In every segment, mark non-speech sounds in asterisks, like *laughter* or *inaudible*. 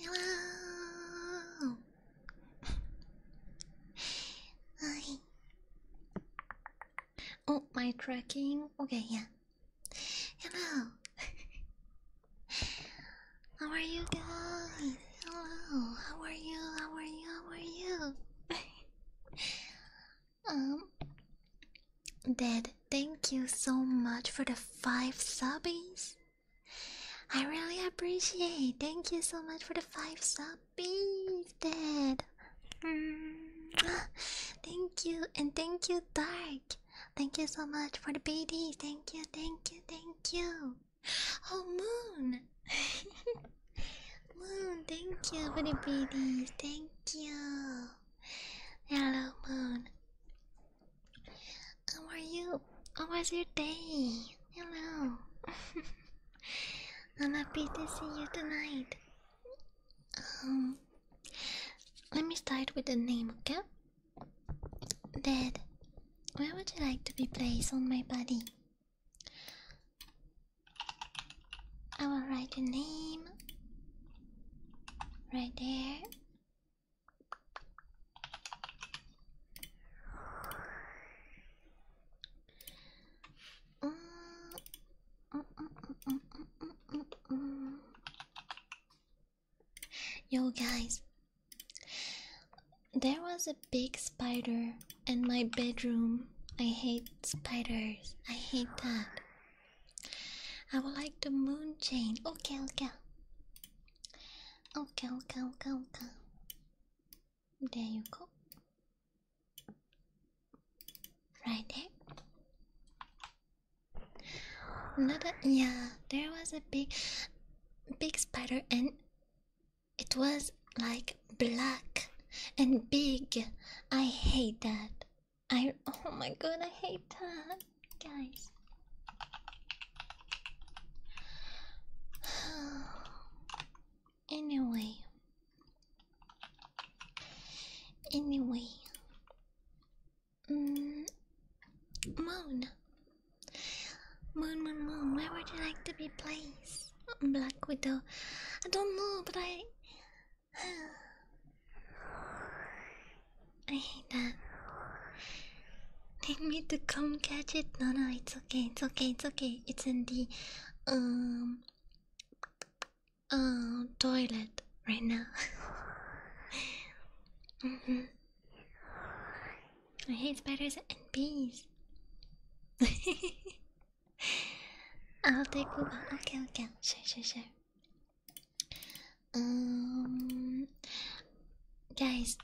Hello. Hi. Oh, my tracking. Okay, yeah. Hello. How are you guys? Hello. How are you? How are you? How are you? um. Dad, thank you so much for the five subbies. I really appreciate. Thank you so much for the five sub bees, Dad. *gasps* Thank you and thank you, Dark. Thank you so much for the BD. Thank you, thank you, thank you. Oh, Moon. *laughs* Moon, thank you for the BD. Thank you. Yellow Moon. How are you? How was your day? Hello. *laughs* I'm happy to see you tonight. Um, let me start with the name, okay? Dad, where would you like to be placed on my body? I will write your name right there Mm. Mm -mm -mm -mm -mm -mm. Yo guys, there was a big spider in my bedroom. I hate spiders. I hate that. I would like the moon chain. Okay, okay. Okay, okay, okay, okay. There you go. Right there. Another yeah, there was a big big spider and it was like black and big. I hate that. I oh my god, I hate that guys. *sighs* anyway, anyway, mm. moon, moon, moon, moon. Where would you like to be placed? Black Widow. I don't know, but I. *sighs* *sighs* I hate that. Take me to come catch it. No, no, it's okay. It's okay. It's okay. It's in the um uh, toilet right now. *laughs* Mm-hmm. I hate spiders and bees. *laughs* I'll take Uber. Okay, okay. Sure, sure, sure. Um, guys,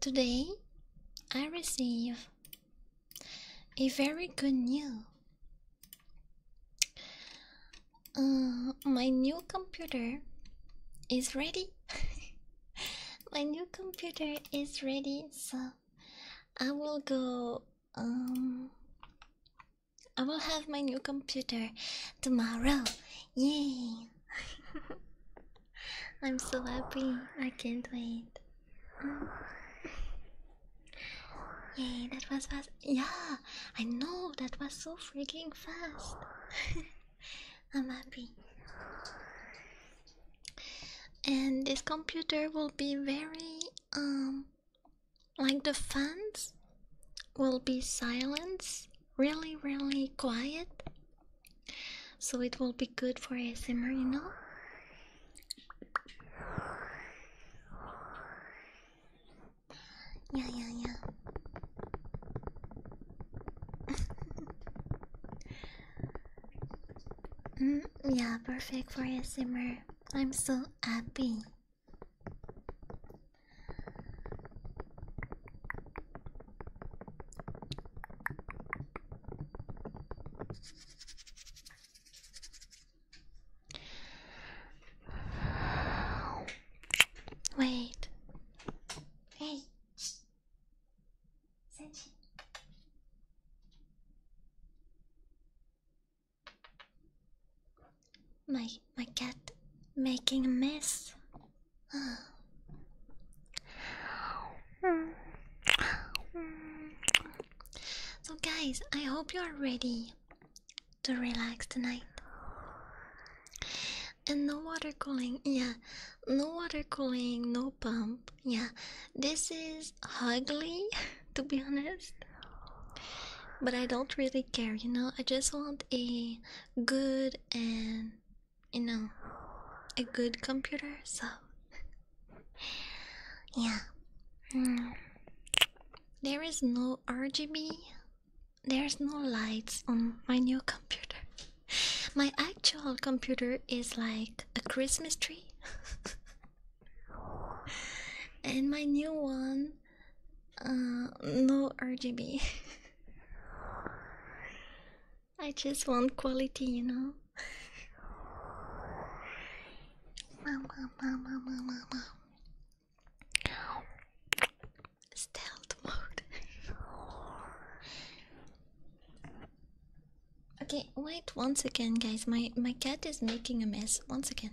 today I receive a very good news. Uh, my new computer is ready. *laughs* my new computer is ready, so I will go. Um, I will have my new computer tomorrow. Yay! *laughs* I'm so happy. I can't wait. Oh. *sighs* Yay, that was fast. Yeah, I know that was so freaking fast. *laughs* I'm happy. And this computer will be very um like the fans will be silence really, really quiet. So it will be good for a ASMR, you know? Yeah, yeah, yeah. *laughs* Mm, yeah, perfect for a ASMR. I'm so happy. Wait. Hey. Sanchi. My my cat making a mess. So, guys, I hope you are ready to relax tonight. And no water cooling, yeah, no water cooling, no pump, yeah. This is ugly, *laughs* to be honest. But I don't really care, you know. I just want a good and you know, a good computer, so yeah. Mm. There is no RGB, there's no lights on my new computer. My actual computer is like a Christmas tree, *laughs* and my new one, uh, no RGB. *laughs* I just want quality, you know. Stealth mode. okay, wait once again, guys. My my cat is making a mess once again.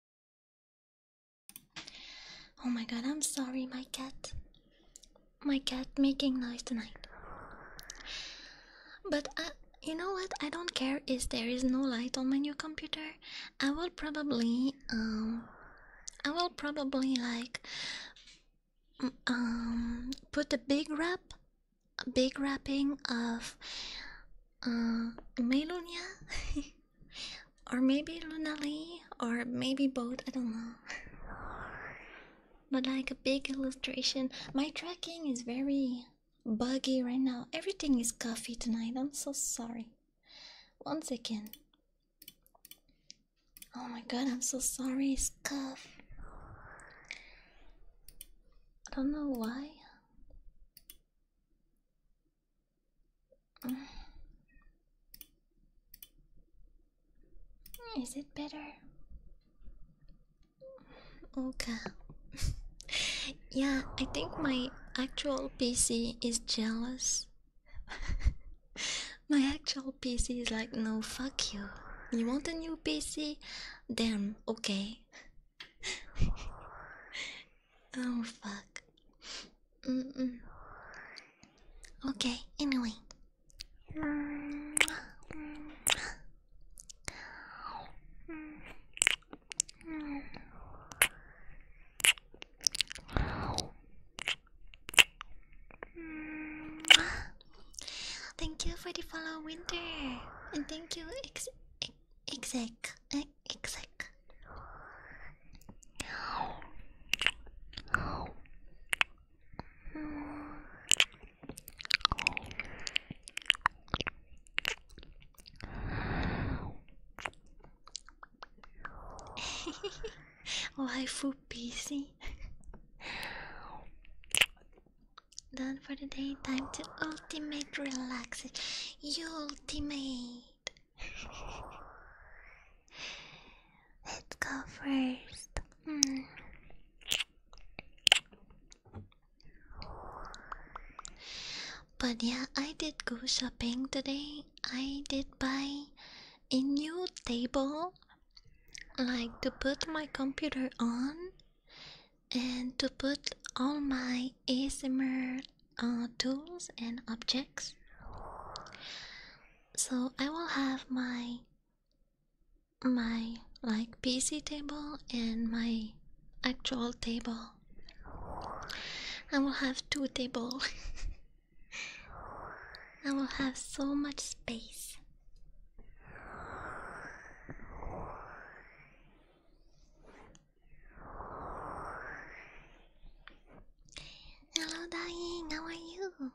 Oh my god, I'm sorry, my cat. My cat making noise tonight. But uh, you know what? I don't care Is there is no light on my new computer. I will probably, um, I will probably like, um, put a big wrap, a big wrapping of, uh, Melonia. *laughs* Or maybe Lunali, or maybe both, I don't know. But like a big illustration. My tracking is very buggy right now. Everything is coffee tonight. I'm so sorry. Once again. Oh my god, I'm so sorry, It's Scuff. I don't know why. *sighs* Is it better? Okay. Oh, *laughs* yeah, I think my actual PC is jealous. *laughs* my actual PC is like, no, fuck you. You want a new PC? Damn, okay. *laughs* oh, fuck. Mm Okay, anyway. Thank you for the follow winter and thank you ex exec exec *laughs* Life will busy. Done for the day. Time to ultimate relaxation. You ultimate. Let's go first. Hmm. But yeah, I did go shopping today. I did buy a new table, like to put my computer on and to put all my ASMR uh, tools and objects so I will have my my like PC table and my actual table. I will have two tables. *laughs* I will have so much space. Hello, Dying. How are you?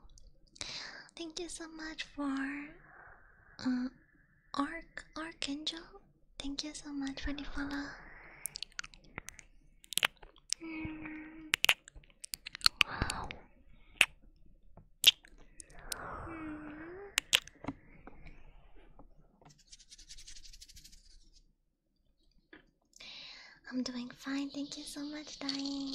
Thank you so much for uh, Arc Archangel. Thank you so much for the follow. Wow. Hmm. Hmm. I'm doing fine, thank you so much, Dying.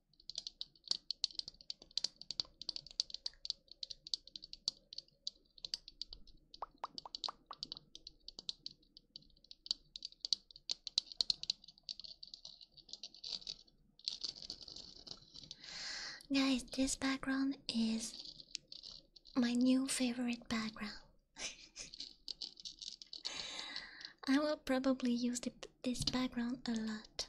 Guys, this background is my new favorite background. *laughs* I will probably use this background a lot.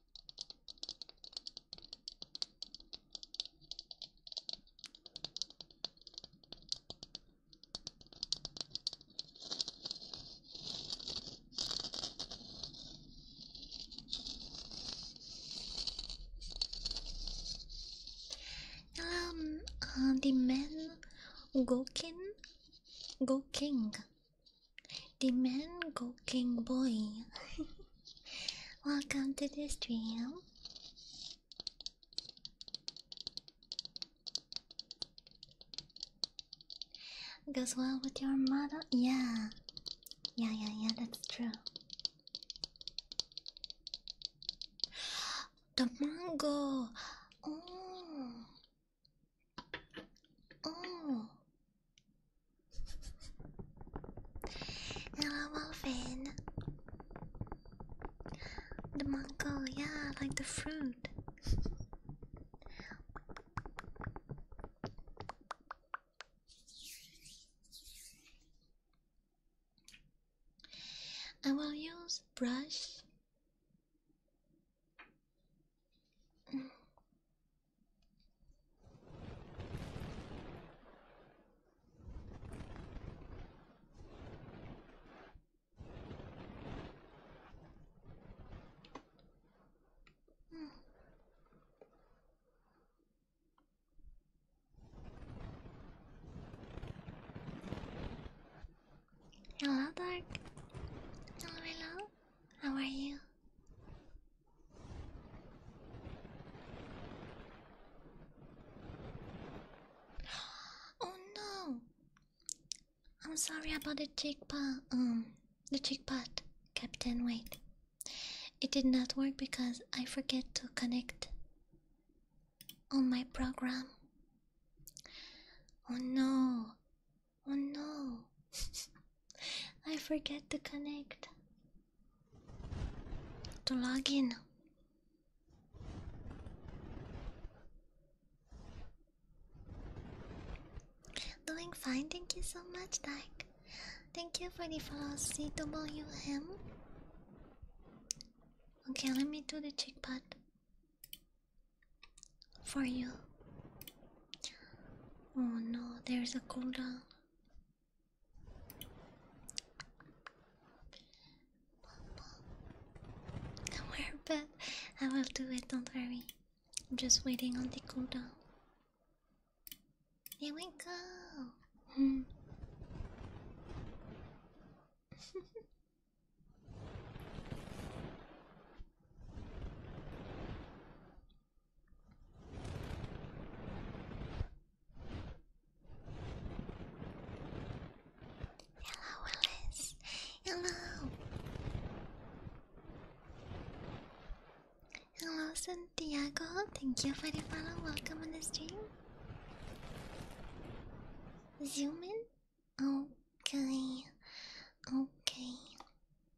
Um, uh, the man go king. the man king boy. *laughs* Welcome to this dream. Goes well with your motto? Yeah. Yeah, yeah, yeah, that's true. The mango! Oh! Oh! Hello, Muffin. The mango, yeah, I like the fruit. I will use brush. Hello, Dark. Hello, hello. How are you? *gasps* Oh no! I'm sorry about the chickpea. Um, the chickpot, Captain. Wait, it did not work because I forget to connect on my program. Oh no! Oh no! *laughs* I forget to connect to log in. Doing fine, thank you so much, Dyke. Thank you for the follow CWM. Okay, let me do the check pot for you. Oh no, there's a cooldown do but I will do it, don't worry. I'm just waiting on the cooldown. There we go! Hmm. *laughs* Hello, Willis. Hello. Hello, Santiago. Thank you for the follow. Welcome on the stream. Zoom in. Okay. Okay.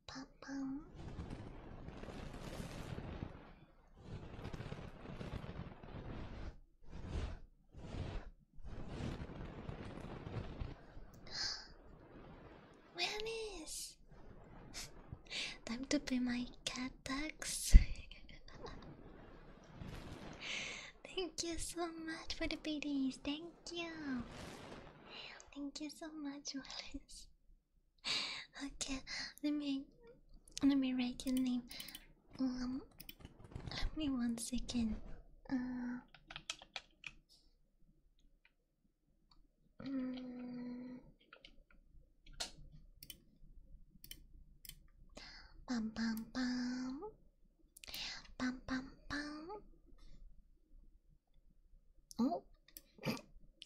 Pop -pom. Where is? Time to pay my cat tax. *laughs* Thank you so much for the biddies. Thank you. Thank you so much, Wallace. *laughs* Okay, let me let me write your name. Um, let me one second. Uh, mm. um, bam bam bam, bam bam bam. Oh, *coughs*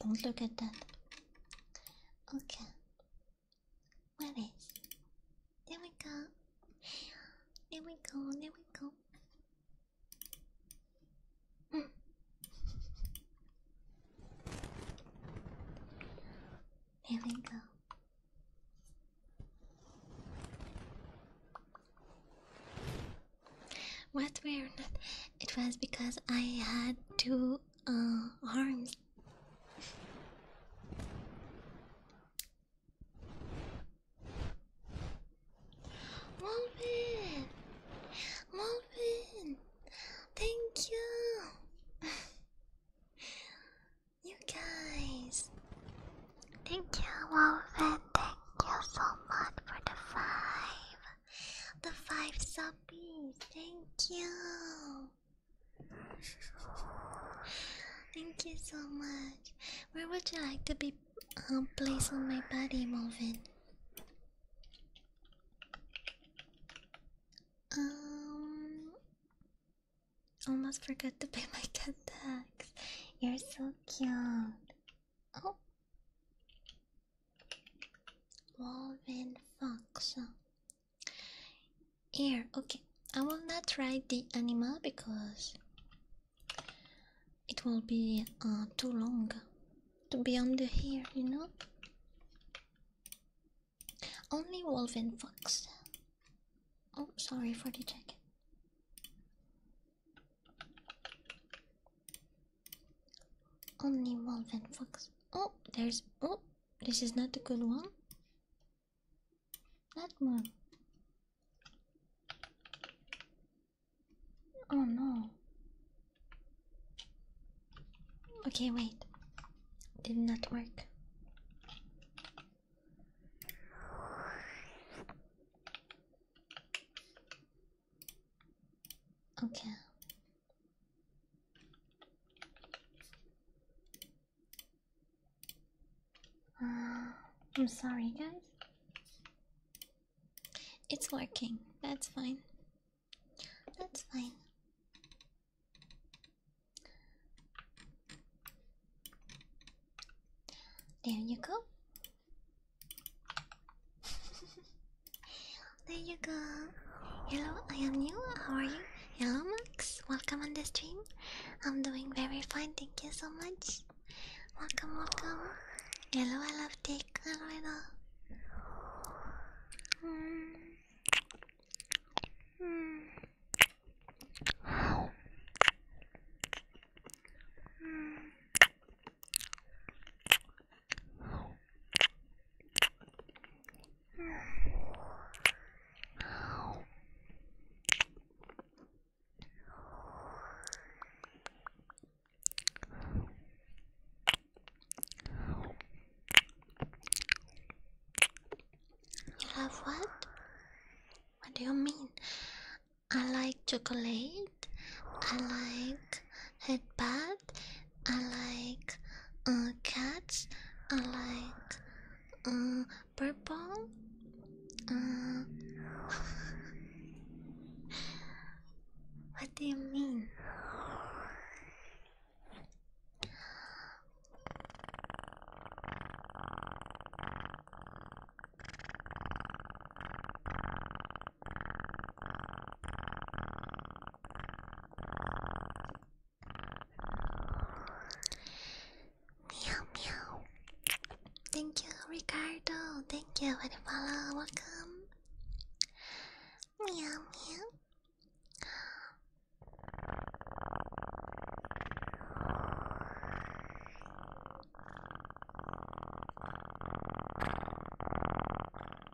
don't look at that. Okay. Webbies. There we go. There we go. There we go. Mm. There we go. What weird? It was because I had two uh, arms Malvin! Malvin! Thank you! you guys! Thank you, Malvin! Thank you so much for the five! The five subbies! Thank you! Thank you so much. Where would you like to be um, placed on my body, Moving? Um, almost forgot to pay my cat tax. You're so cute. Oh, woven function. Here, okay. I will not write the animal because it will be uh, too long to be on the hair, you know? Only wolf and fox. Oh, sorry for the check. Only wolf and fox. Oh, there's. Oh, this is not a good one. Not one. Oh no. Okay, wait. Did not work. Okay. Uh, I'm sorry, guys. It's working. That's fine. That's fine. There you go. *laughs* There you go. Hello, I am new. How are you? Hello, Max. Welcome on the stream. I'm doing very fine. Thank you so much. Welcome, welcome. Hello, I love Dick. Hello, hello. Mm. Mm. Mm. You have what? What do you mean? I like chocolate. I like headband. I like uh, cats. I like uh, purple. Uh, *laughs* what do you mean? Meow meow. Thank you, Ricardo. Thank you for the follow. Welcome. Meow meow.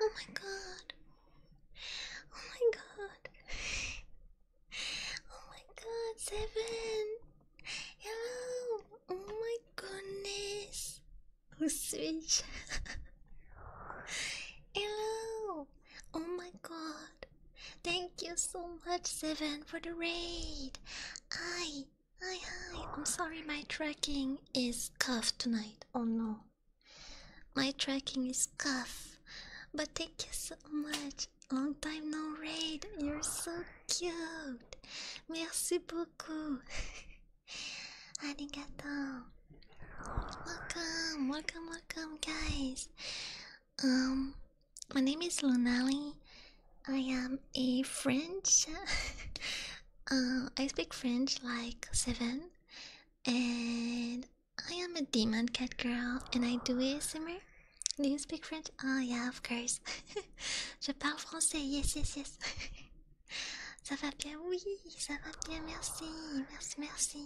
Oh my god. Oh my god. Oh my god, Seven. Hello. Oh my goodness. Oh, switch. *laughs* Hello. Oh my god. Thank you so much, Seven, for the raid. Hi, hi, hi. I'm sorry my tracking is cuff tonight. Oh no. My tracking is cuff. But thank you so much. Long time no raid. You're so cute. Merci beaucoup. *laughs* Arigato. Welcome, welcome, welcome, guys. Um, my name is Lunali. I am a French. *laughs* uh, I speak French like seven, and I am a demon cat girl, and I do a ASMR. Do you speak French? Oh yeah, of course. *laughs* Je parle français. Yes, yes, yes. *laughs* ça va bien, oui, ça va bien. Merci, merci, merci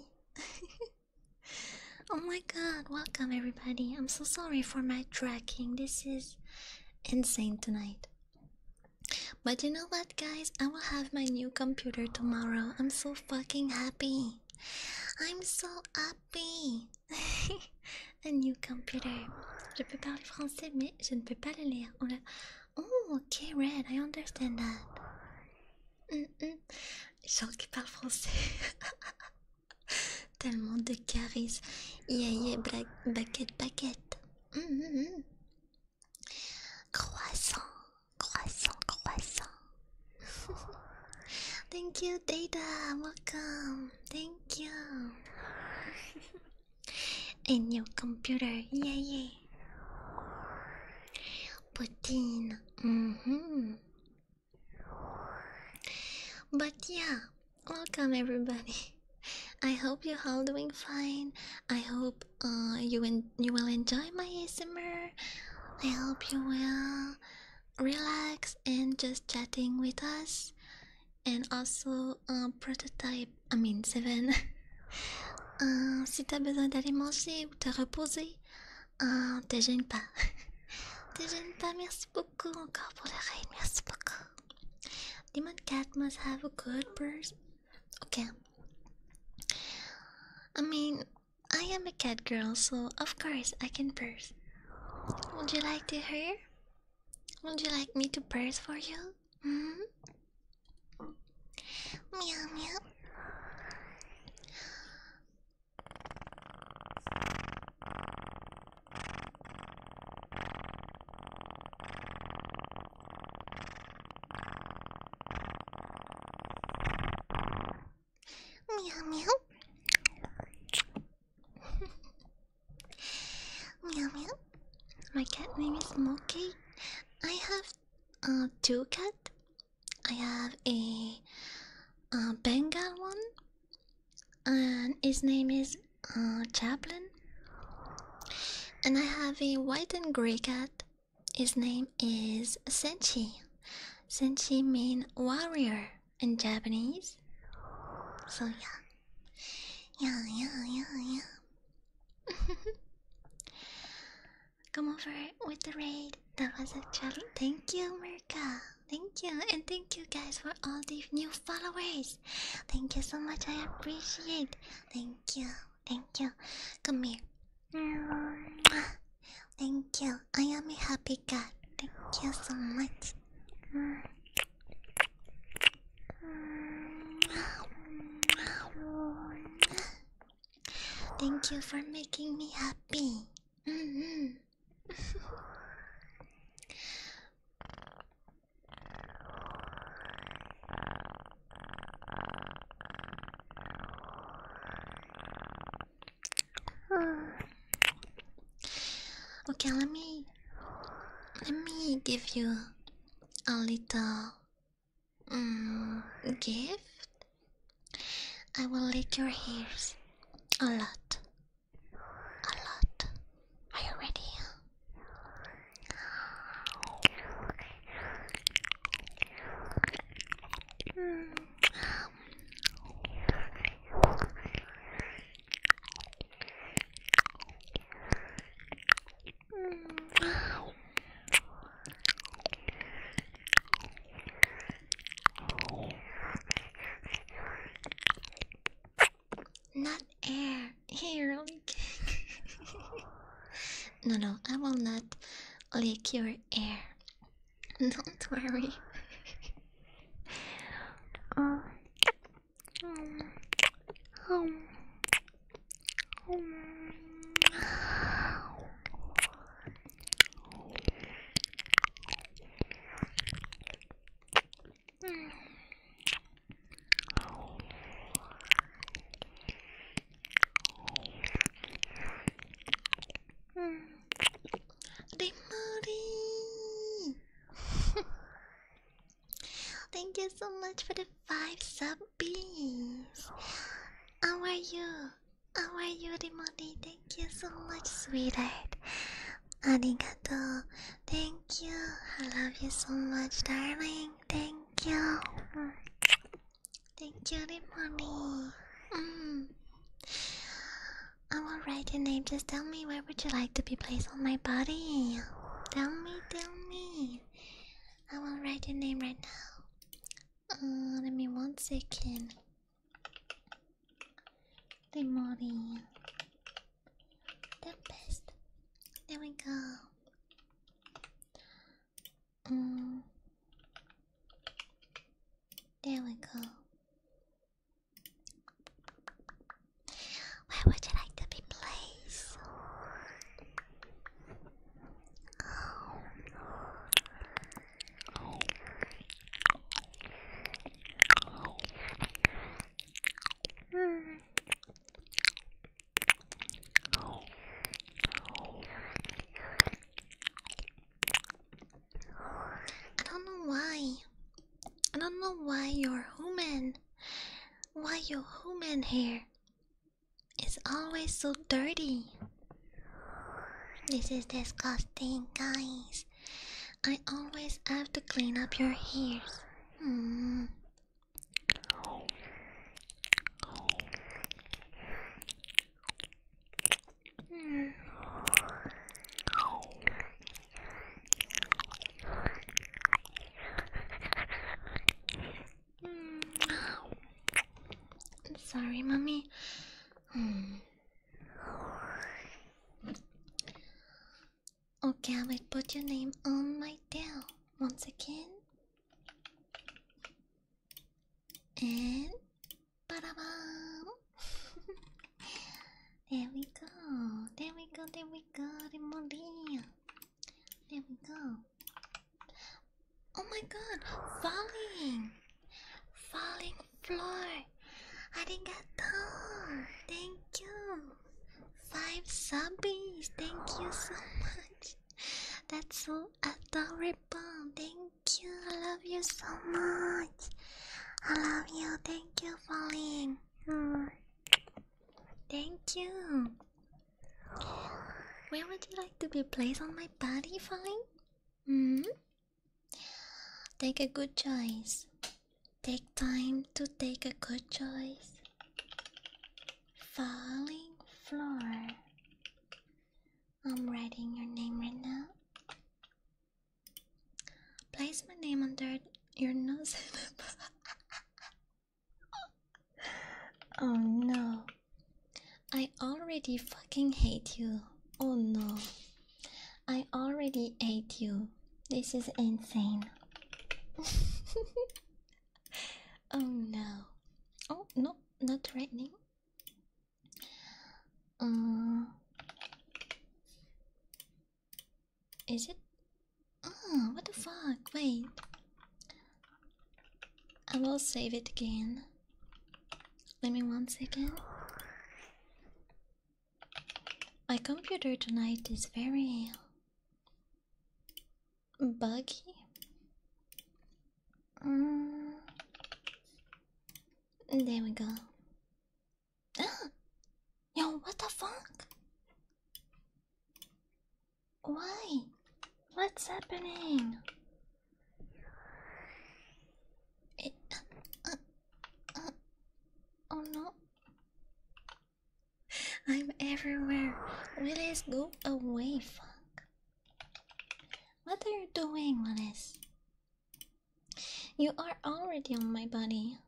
oh my god, welcome everybody. I'm so sorry for my tracking. This is insane tonight. But you know what, guys? I will have my new computer tomorrow. I'm so fucking happy. I'm so happy. *laughs* A new computer. Je peux parler français, mais je ne peux pas le lire. Oh, okay, red. I understand that. Jean qui parle français. *laughs* Tellement de charisme. Yeah, yeah, black, baguette, baguette. Mm, mm, mm. Croissant, croissant, croissant. *laughs* Thank you, Data. Welcome. Thank you. *laughs* And your computer. Yeah, yeah. Poutine. Mm But yeah, welcome everybody. *laughs* I hope you're all doing fine. I hope uh, you you will enjoy my ASMR. I hope you will relax and just chatting with us. And also uh, prototype, I mean Seven. *laughs* uh, si t'as besoin d'aller manger ou te reposer, Ah, te gêne pas. te gêne pas, merci beaucoup encore pour le raid, merci beaucoup. Demon Cat must have a good burst. Okay. I mean, I am a cat girl, so of course I can purse. Would you like to hear? Would you like me to purse for you? Mm hmm? Meow meow. Meow meow. *laughs* meow meow. My cat name is Moki. I have uh, two cats. I have a Bengal one, and his name is uh, Chaplin. And I have a white and grey cat. His name is Senchi. Senchi means warrior in Japanese. So yeah, yeah, yeah, yeah, yeah. *laughs* come over with the raid. That was a challenge. Thank you, Merka. Thank you, and thank you guys for all the new followers. Thank you so much. I appreciate. Thank you. Thank you. Come here. Thank you. I am a happy cat. Thank you so much. Thank you for making me happy. *sighs* okay, let me let me give you a little um, gift I will lick your hairs a lot. A lot. Are you ready? Mm. Not air. Here, *laughs* no, no, I will not lick your air. *laughs* Don't worry. *laughs* Um, um, um, they *laughs* moody. Thank you so much for the five sub How are you? How are you, Rimoni? Thank you so much, sweetheart. Arigato. Thank you. I love you so much, darling. Thank you. Thank you, Rimoni. Mm. I will write your name. Just tell me where would you like to be placed on my body. Tell me, tell me. I will write your name right now. Uh, let me one second. Good morning. The best. There we go. Mm. There we go. Where would you like to be placed? Oh. I don't know why. I don't know why you're human. Why your human hair is always so dirty. This is disgusting, guys. I always have to clean up your hairs. Hmm. Hmm. Sorry, mommy. Hmm. Okay, I will put your name on my tail once again. And ba da *laughs* there we go, there we go, there we go, Remoria. There we go. Oh my god, falling! Falling floor. Arigato. Thank you. Five subbies. Thank you so much. That's so adorable. Thank you. I love you so much. I love you. Thank you, Falling. Mm. Thank you. Where would you like to be placed on my body, Falling? hmm? Take a good choice. Take time to take a good choice. Falling floor. I'm writing your name right now. Place my name under your nose. *laughs* oh no. I already fucking hate you. Oh no. I already ate you. This is insane. *laughs* oh no. Oh no, not threatening. Uh, is it? Oh, what the fuck? Wait. I will save it again. Let me again. My computer tonight is very buggy. Mm. There we go. Ah! Yo, what the fuck? Why? What's happening? Eh, uh, uh, uh, oh, I'm everywhere. Willis, go away, fuck. What are you doing, Willis? You are already on my body.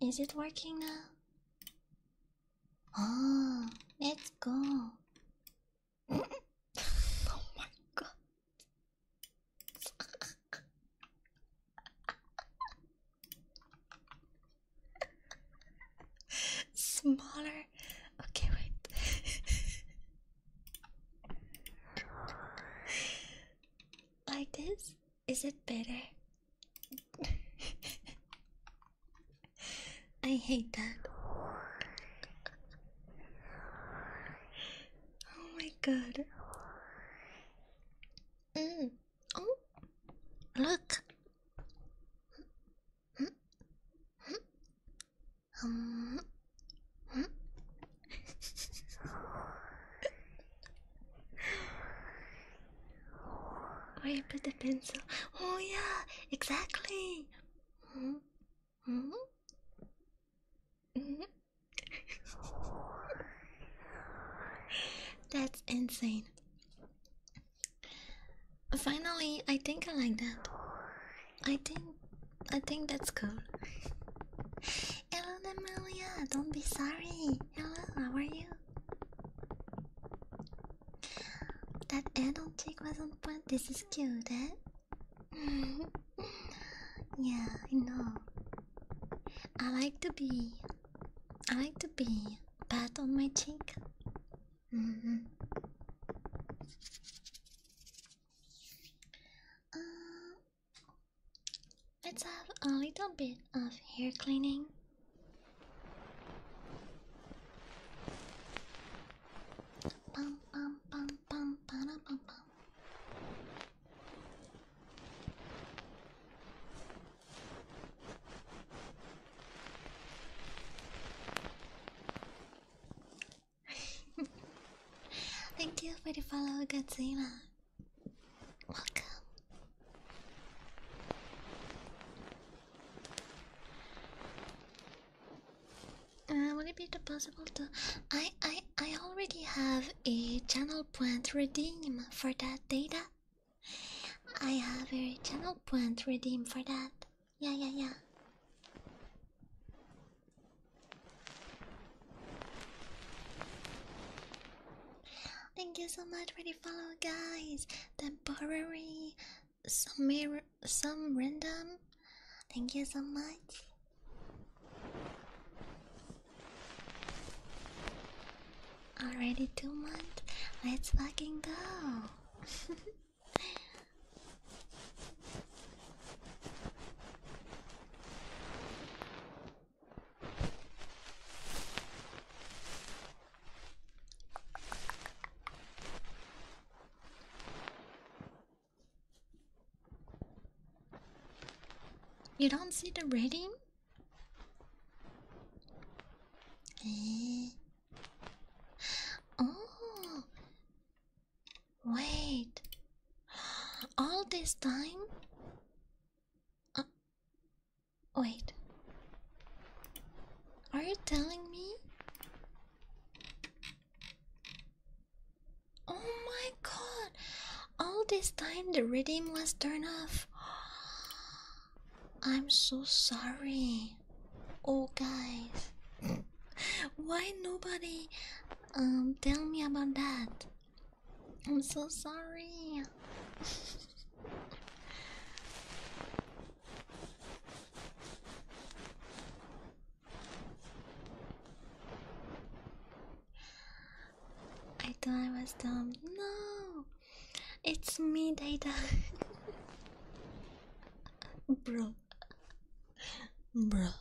Is it working now? Oh, let's go oh my god. Smaller. Okay, wait. *laughs* like this? Is it better? *laughs* I hate that. Oh my god. Mm. Oh, look. Um. Where you put the pencil? Oh yeah, exactly. Mm. Mm -hmm. Mm -hmm. *laughs* That's insane. Finally, I think I like that. I think I think that's cool. Hello Amelia, don't be sorry. Hello, how are you? That adult chick was on point. This is cute, eh? *laughs* yeah, I know. I like to be. I like to be pat on my cheek. Mm-hmm. Uh, let's have a little bit of hair cleaning bum bum bum Thank you for the follow, Godzilla. Welcome. Uh, would it be possible to? I I I already have a channel point redeem for that data. I have a channel point redeem for that. Yeah yeah yeah. Thank you so much for the follow, guys. Temporary some random. Thank you so much. Already two months. Let's fucking go. You don't see the rating? Eh. Oh, wait. All this time? Uh, wait. Are you telling me Oh my god! All this time the redeem was turned off. *gasps* I'm so sorry. Oh guys. *laughs* Why nobody um tell me about that? I'm so sorry. *laughs* I thought I was dumb. No, it's me, Data. *laughs* Bro, bro. *laughs*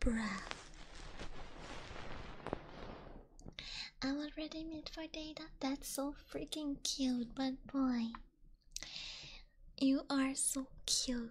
Bruh. I'm already made for data. That's so freaking cute, but boy, you are so cute.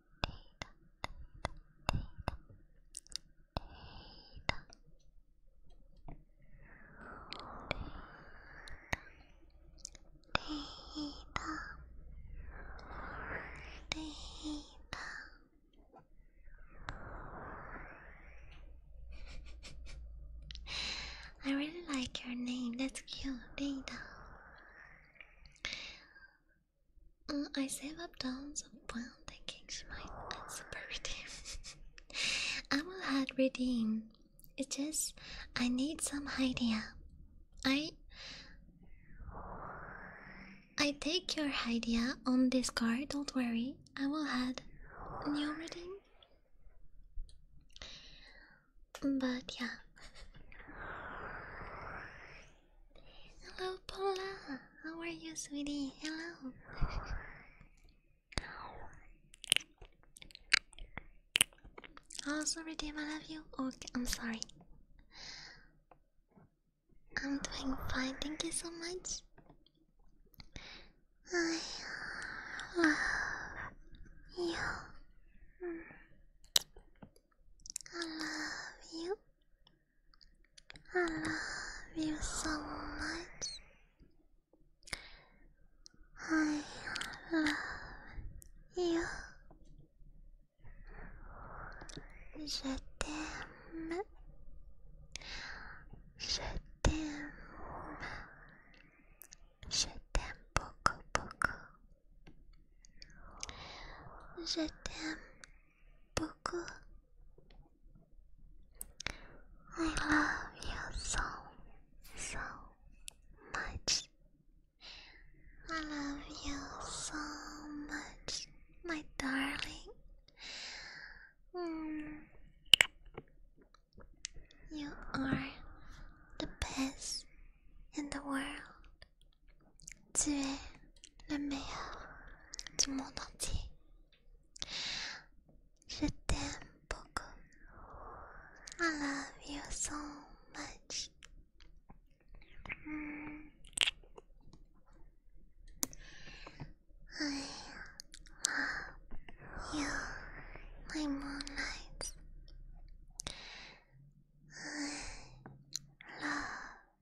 I really like your name. That's cute. Data. I save up tons of pound thinking she might answer birthday. *laughs* i will a hard redeem. It's just I need some idea. I I take your idea on this card, don't worry. I will add new redeem. But yeah. Hello, Paula. How are you, sweetie? Hello. Oh, sorry, Tim. I love you. Okay, I'm sorry. I'm doing fine. Thank you so much. I love you. I love you. I *sighs* love you so much. I love you. Je t'aime. Je t'aime. Je t'aime beaucoup, beaucoup. Je t'aime I love you so, so much. I love you so much, my darling. Mm. You are the best in the world. Tu es le meilleur du monde entier. Je t'aime beaucoup. I love you so much. my moonlight. I love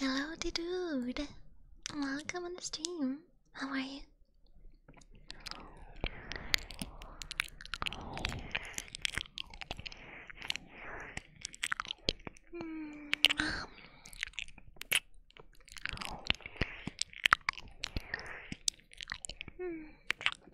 Hello, dude. Welcome on the stream. How are you?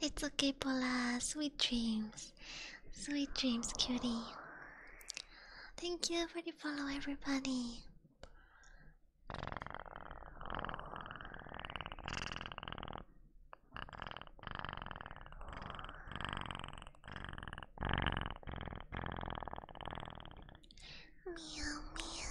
it's okay, Paula. Sweet dreams. Sweet dreams, cutie. Thank you for the follow, everybody. Meow meow.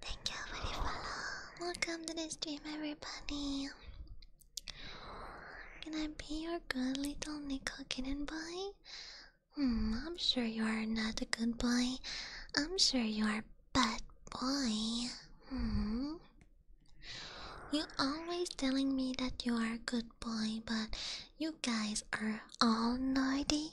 Thank you for the Welcome to the stream, everybody. Can I be your good little Nico kitten boy? Hmm, I'm sure you are not a good boy. I'm sure you are bad boy. Hmm. You always telling me that you are a good boy, but you guys are all naughty.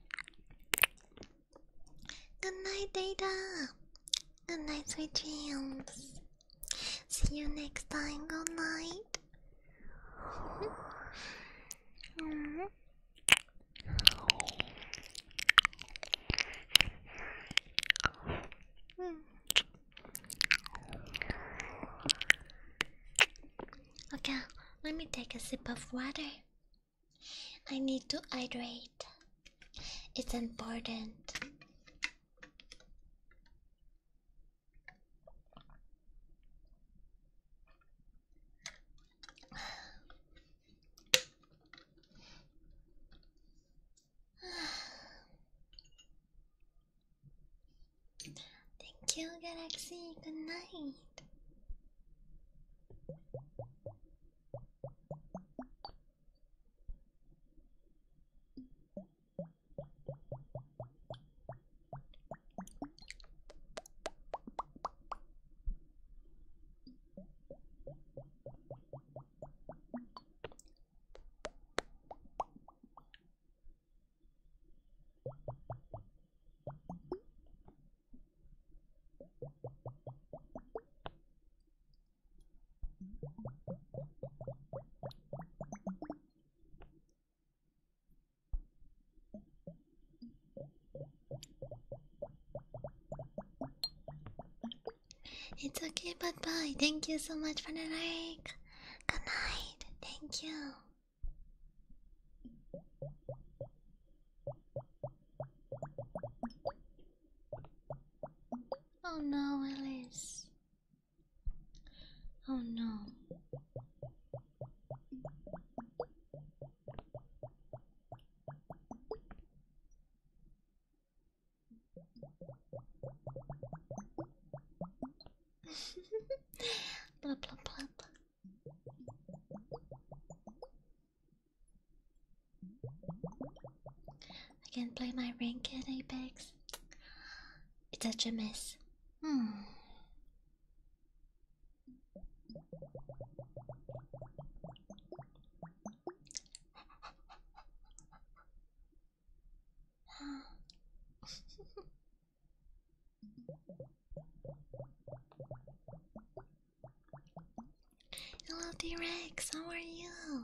Good night, Data. Good night, sweet dreams. See you next time. Good night. *laughs* Okay, let me take a sip of water. I need to hydrate. It's important. *sighs* *sighs* Thank you, Galaxy. Good night. It's okay, bye bye. Thank you so much for the like. Good night. Thank you. Oh no, Alice. Oh no. *laughs* blah blah blah blah. I can not play my rank at Apex. It's such a mess. Hmm. Hello, t How are you?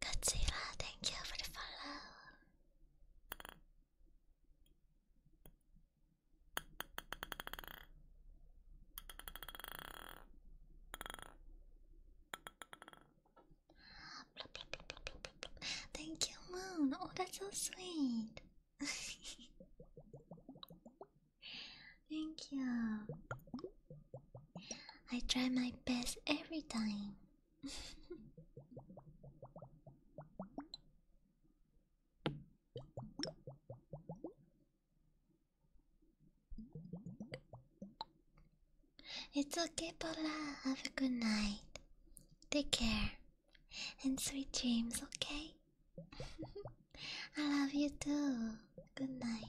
Godzilla, thank you for the follow. Thank you, Moon. Oh, that's so sweet. *laughs* Thank you. I try my best every time. *laughs* it's okay, Paula. Have a good night. Take care. And sweet dreams, okay? *laughs* I love you too. Good night.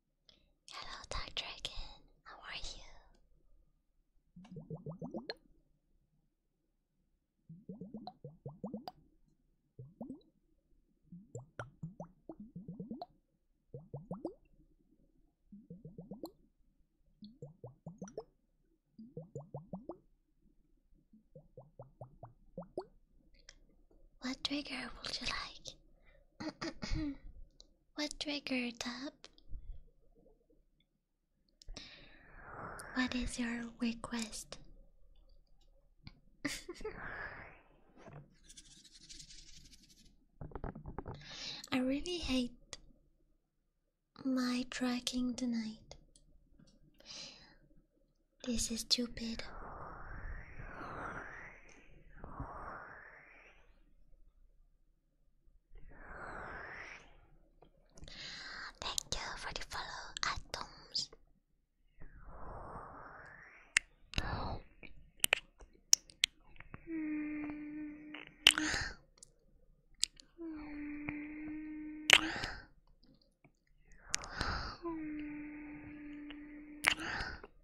Hello, Dark Dragon. How are you? What trigger would you like? *clears throat* *clears throat* What trigger tab? What is your request? *laughs* I really hate my tracking tonight. This is stupid. Thank you for the follow atoms.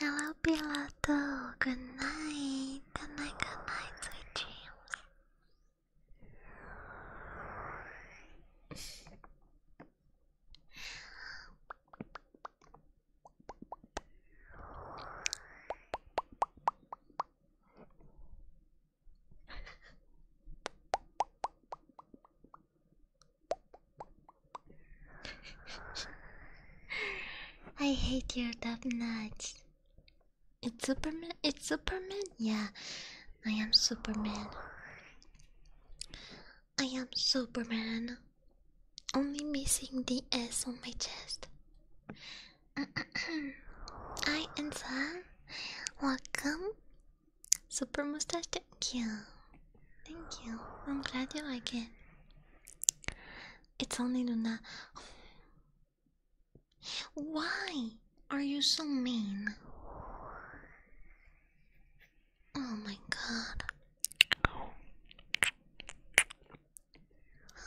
Hello, pilot. Good night. Good night, night dreams. I hate your death nuts. It's Superman. It's Superman. Yeah, I am Superman. I am Superman. Only missing the S on my chest. I am Sam, welcome Super mustache, thank you. Thank you. I'm glad you like it. It's only Luna. Why are you so mean? Oh my god.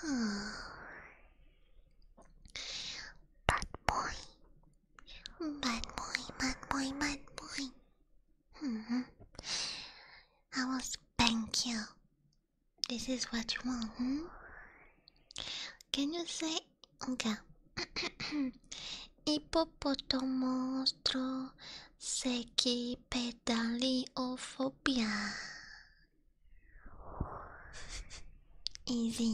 *sighs* Bad boy. Bad boy, bad boy, bad boy. -hmm. I will spank you. This is what you want, hmm? Can you say okay? *clears throat* Hippopotomostro seki pedaliophobia. *laughs* Easy.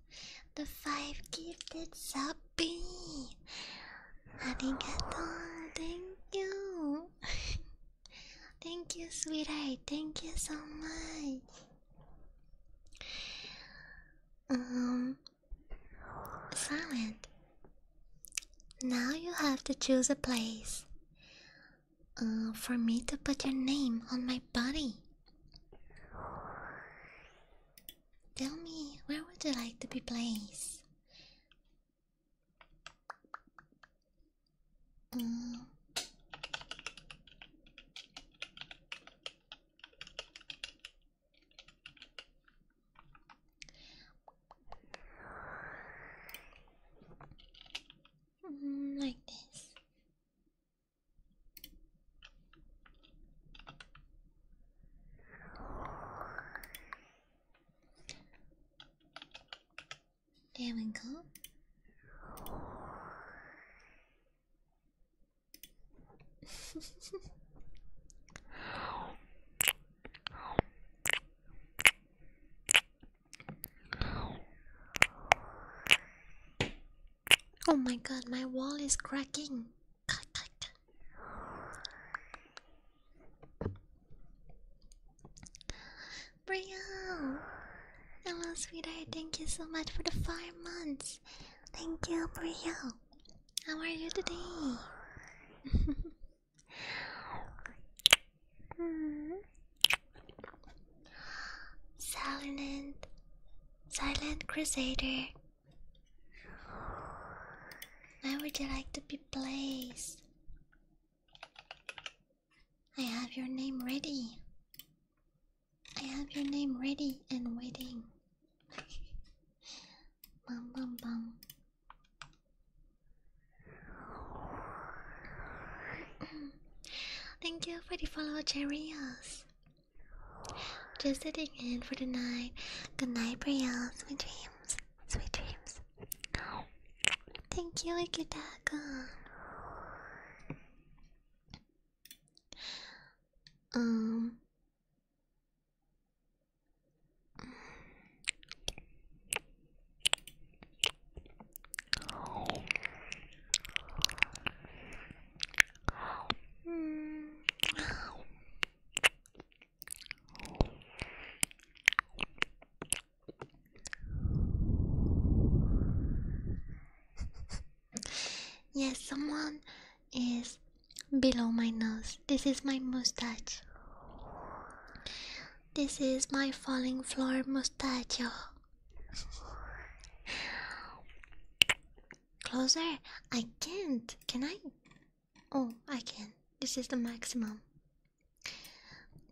the five gifted sappy. Arigato, thank you. *laughs* thank you, sweetheart. Thank you so much. Um, silent. Now you have to choose a place uh, for me to put your name on my body. Tell me, where would you like to be placed? Mm. Mm, like this. There we go. *laughs* oh my god, my wall is cracking. Brielle! Hello, sweetheart. Thank you so much for the five months. Thank you, Brielle. How are you today? *laughs* mm. Silent, silent crusader. Where would you like to be placed? I have your name ready. I have your name ready and waiting. *laughs* bum bum bum. *clears throat* Thank you for the follow, Cherios. Just sitting in for the night. Good night, Brielle. Sweet dreams. Sweet dreams. Thank you, Ikitaka. Um. Mm yes, someone is below my nose. This is my mustache. This is my falling floor mustache. *laughs* Closer? I can't. Can I? Oh, I can. This is the maximum.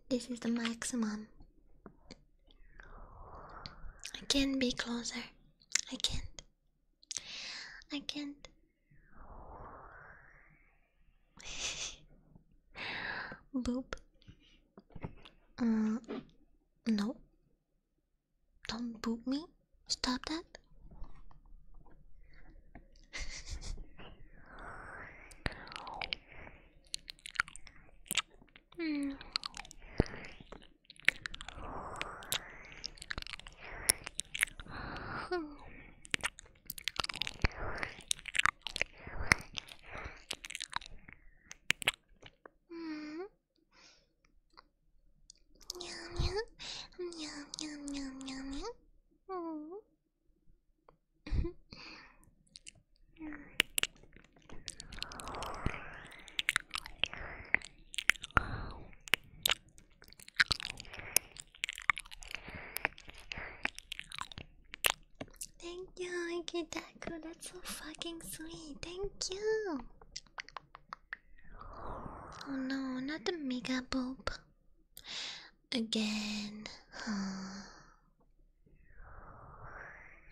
This is the maximum. I can not be closer. I can't. I can't. *laughs* Boop. Uh, no. Don't boot me. Stop that. mm. *laughs* *laughs* *laughs* Meow meow meow meow meow meow. Thank you, I Iggy Deco. That's so fucking sweet. Thank you. Oh no, not the mega boob. Again.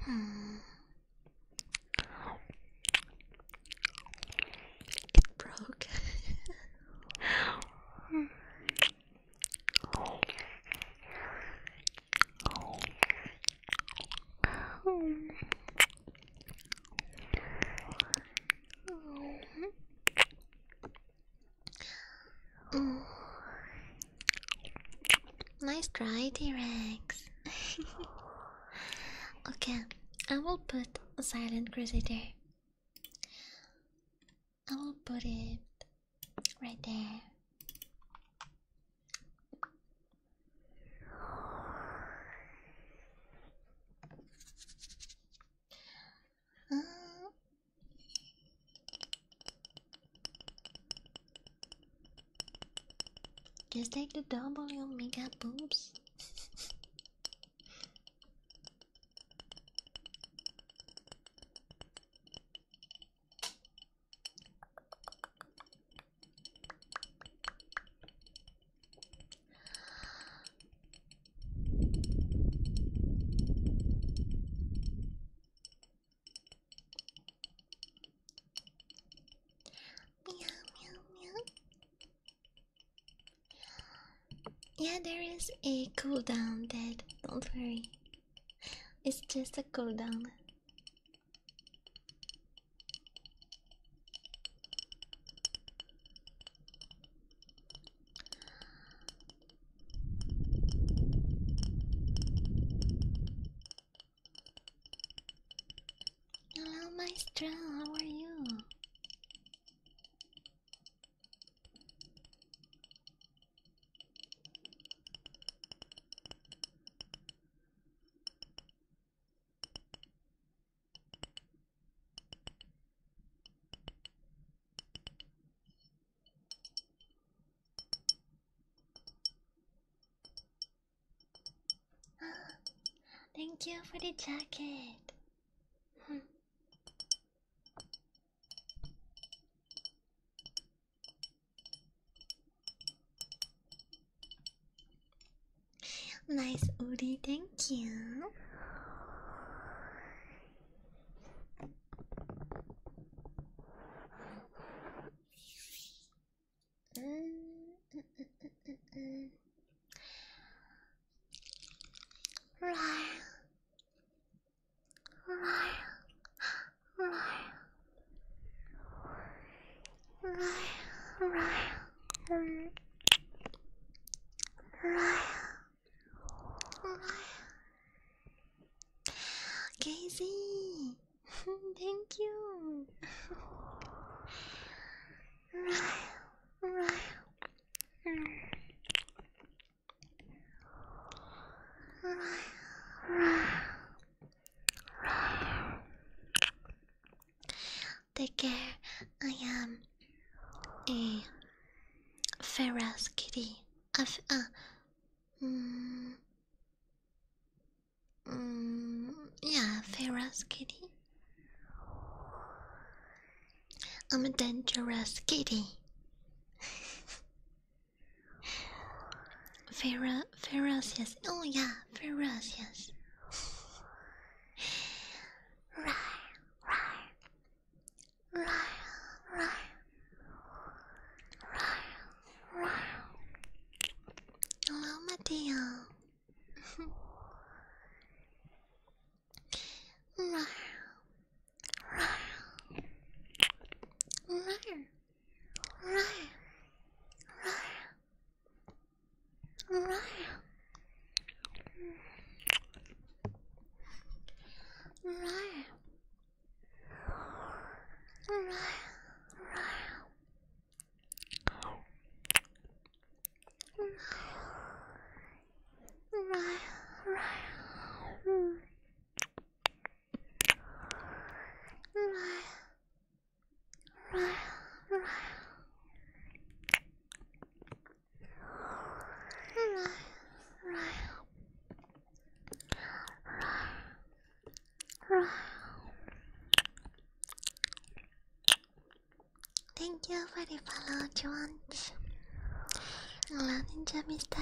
It hmm. broke. *laughs* *laughs* Nice try, T-Rex. *laughs* okay, I will put a silent crusader. I will put it right there. Uh, just take the double, you mega boobs. Yeah, there is a cooldown, Dad. Don't worry. It's just a cooldown. Hello, Maestro, how are you? Thank you for the jacket. Hmm. Nice Udi, thank you. Mm, mm-hmm. mm, mm, mm, mm. Ryle. Ryle. Ryle. Ryle. Ryle. Ryle. Casey, *laughs* thank you. Take care. I am a ferocious kitty. A uh, mm, mm yeah, ferrous kitty. I'm a dangerous kitty. *laughs* Fer ferocious. Oh yeah, ferocious. *laughs* right. Hello, my dear. Alright. Alright. Alright. Alright. Right, right, mm. right, right, right. Thank you for the follow, Jones. Hello, Ninja Mister.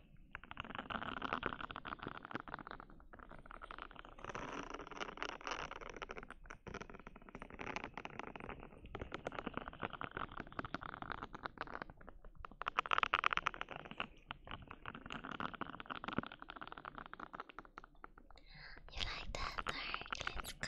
You like that, Dark? Let's go.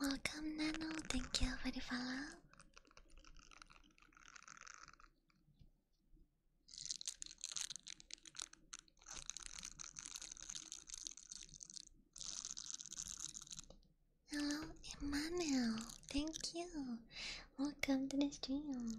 Welcome, Nano. Thank you for the follow. Hello, Emmanuel. Thank you Welcome to the stream.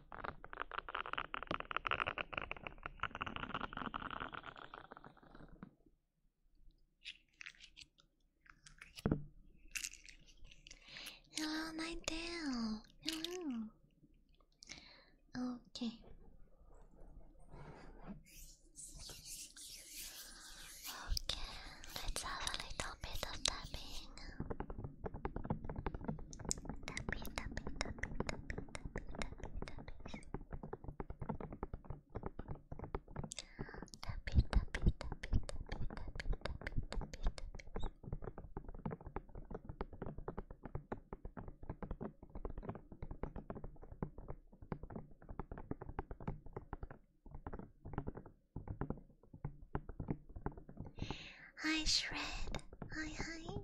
Hello, Night Dale. Hello. Okay. Okay, let's have a little bit of tapping. I tappy, tappy, tappy, Shred. Hi hi.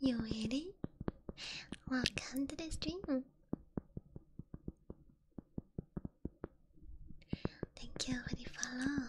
You ready? Welcome to the stream. Thank you for the follow.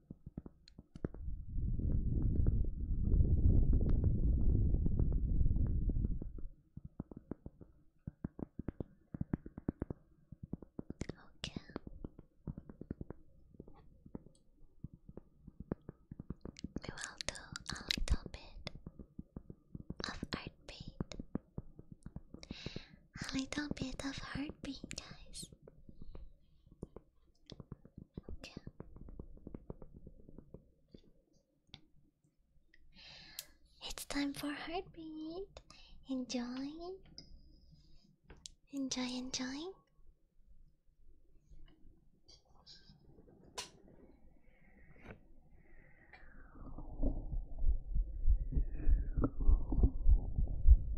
Okay. We will do a little bit of heartbeat. A little bit of heartbeat, guys. It's time for heartbeat. Enjoy. Enjoy, enjoy.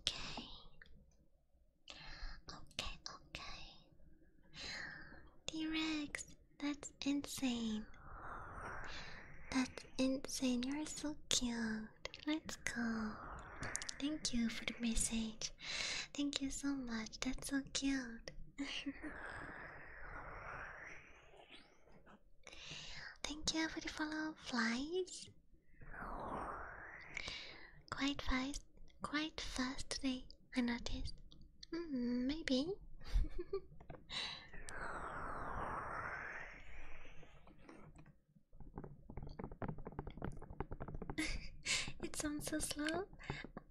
Okay. Okay, okay. T-Rex, that's insane. That's insane. You're so cute. Let's go. Thank you for the message. Thank you so much. That's so cute. *laughs* Thank you for the follow flies. Quite fast, quite fast today. I noticed. Hmm, maybe. *laughs* it sounds so slow.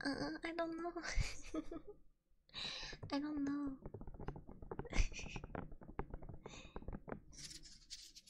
Uh, I don't know. *laughs* I don't know. *laughs*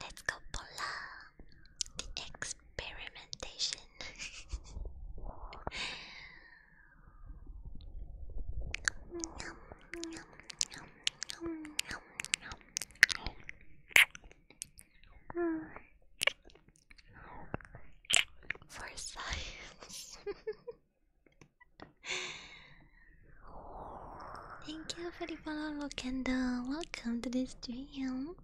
let's go, Pola. The experimentation. For science. *laughs* Thank you for the follow and uh, welcome to this stream.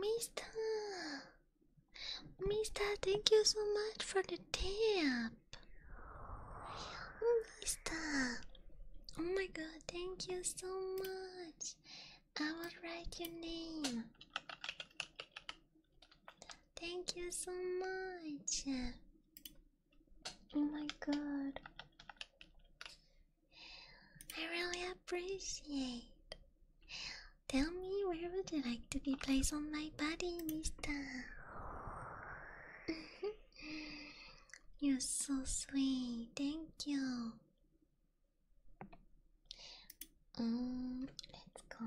Mister, Mister, thank you so much for the tip. Mister, oh my God, thank you so much. I will write your name. Thank you so much. Oh my God. I really appreciate. Tell me, where would you like to be placed on my body, Mister? *laughs* You're so sweet. Thank you. Um, let's go.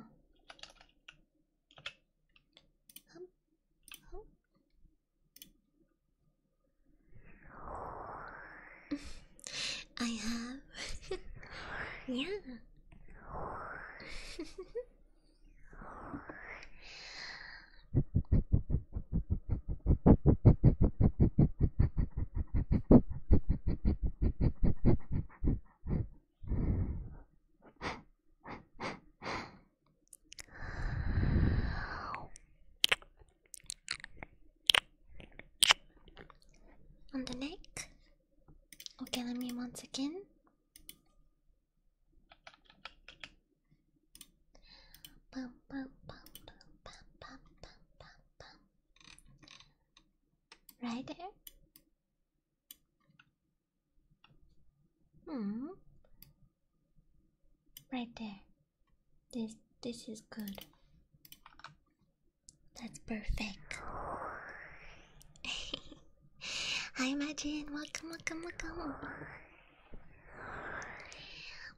I have. *laughs* yeah. On the neck. Okay, let me once again. Bum, bum, bum, bum, bum, bum, bum, bum, Right there. Hmm. Right there. This this is good. That's perfect. *laughs* I imagine. Welcome, welcome, welcome.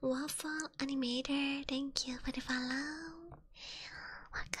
Waffle Animator, thank you for the follow. Welcome.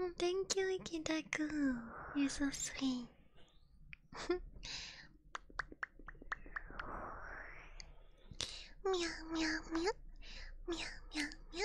Oh, thank you, Ikitaku. You're so sweet. meow, meow. Meow, meow, meow.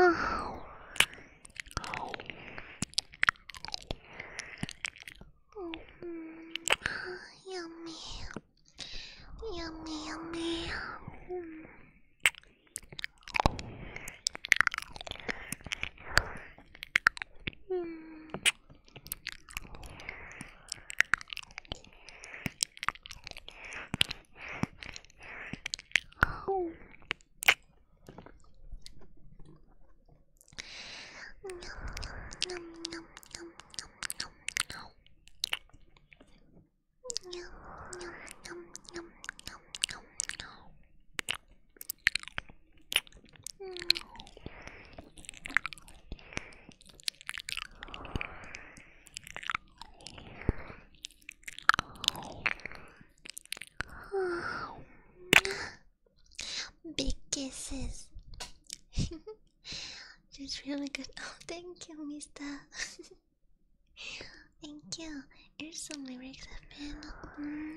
Oh. Oh. Oh. Yummy. Yummy, yummy. Mm. Mm. Oh. Nom, nom, nom, nom, nom, nom, nom. Nom, nom, nom, nom, nom, nom, nom. Mm. *sighs* Big kisses. That's *laughs* really good. Oh, thank you, Mister. *laughs* thank you. Here's some lyrics I've been. Hmm.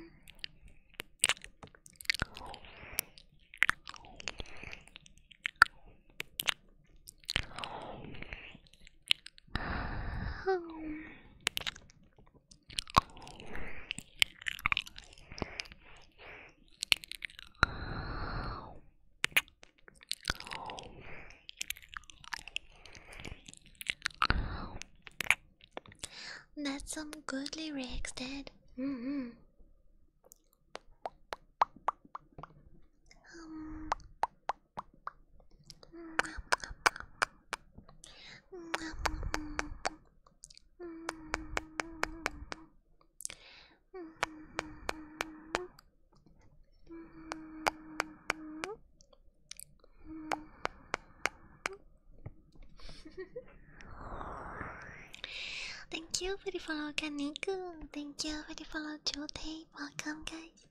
That's some good lyrics, Dad. Mm hmm. Thank you for the follow, Kaneko thank you for the follow today. Welcome, guys.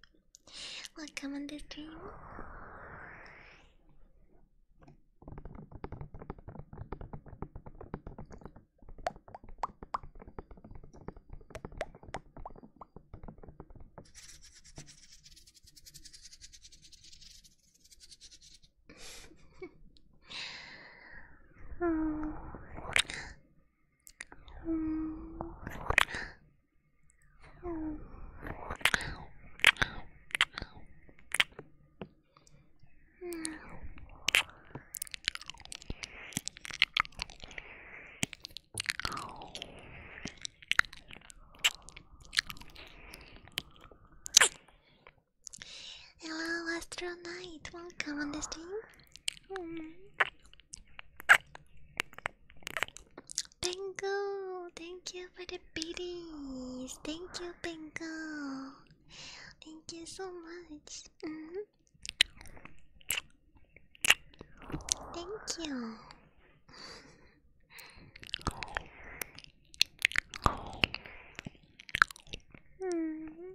Welcome on this stream. *laughs* Hello, Astro Knight. on the stream. Bingo! Thank you for the beaties. Thank you, Pengo. Thank you so much. Mm-hmm. Thank you. *laughs* Mm-hmm.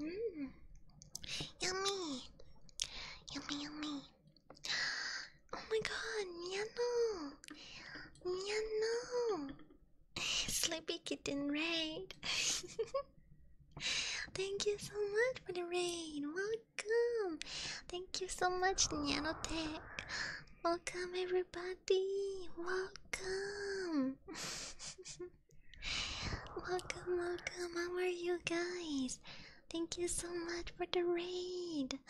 Mm. Yummy, yummy, yummy. Oh my god, Niano, Niano, Sleepy Kitten Raid. *laughs* Thank you so much for the rain. Well welcome. Thank you so much, Nanotech. Welcome, everybody. Welcome. *laughs* welcome, welcome. How are you guys? Thank you so much for the raid. *laughs*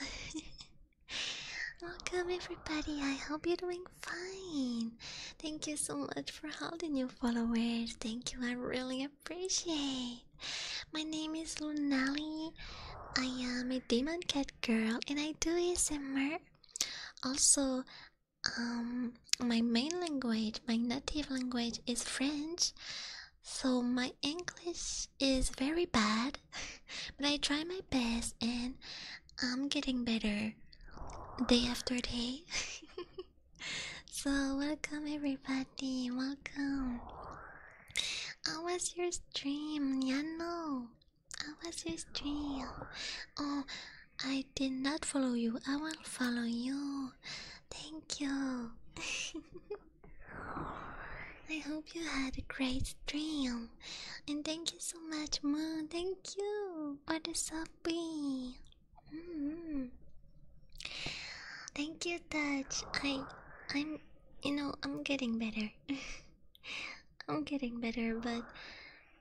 Welcome everybody, I hope you're doing fine. Thank you so much for all the new followers. Thank you, I really appreciate. My name is Lunali. I am a demon cat girl and I do ASMR. Also, um, my main language, my native language is French, so my English is very bad, *laughs* but I try my best and I'm getting better day after day. *laughs* so, welcome everybody, welcome. I was your stream? Yeah, no. How was your stream? Oh, I did not follow you. I will follow you. Thank you. *laughs* I hope you had a great stream. And thank you so much, Moon. Thank you for the subby. Thank you, Touch. I I'm you know, I'm getting better. *laughs* I'm getting better, but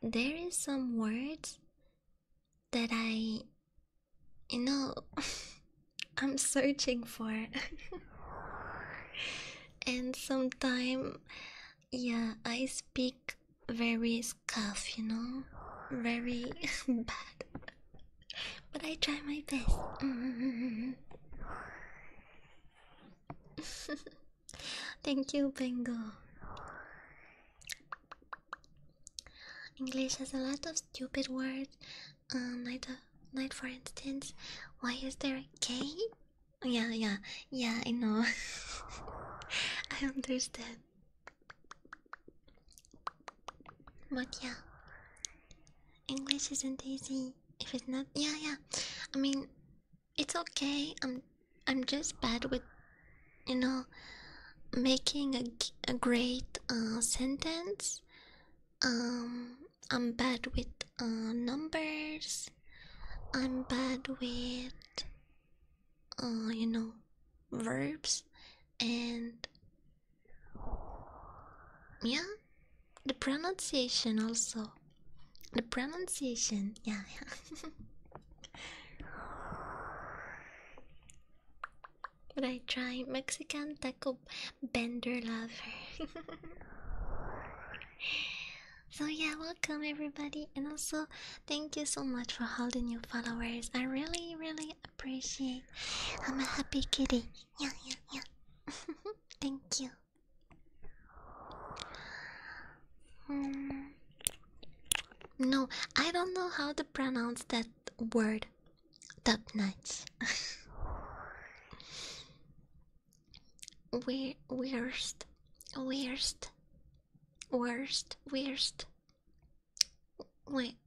there is some words that I you know *laughs* I'm searching for. *laughs* and sometimes yeah, I speak very scuff, you know, very bad but I try my best. *laughs* Thank you, Bengo. English has a lot of stupid words. Um, night, uh, night, for instance. Why is there a K? Yeah, yeah, yeah. I know. *laughs* I understand. But yeah, English isn't easy. If it's not, yeah, yeah. I mean, it's okay. I'm, I'm just bad with, you know, making a a great uh, sentence. Um, I'm bad with uh, numbers. I'm bad with, uh, you know, verbs and yeah, the pronunciation also. The pronunciation, yeah, yeah. Would *laughs* I try Mexican taco bender lover? *laughs* so yeah, welcome everybody, and also thank you so much for all the new followers. I really, really appreciate. I'm a happy kitty. Yeah, yeah, yeah. *laughs* Thank you. Hmm. No, I don't know how to pronounce that word. Top nuts. *laughs* we worst, worst, worst, worst. Wait,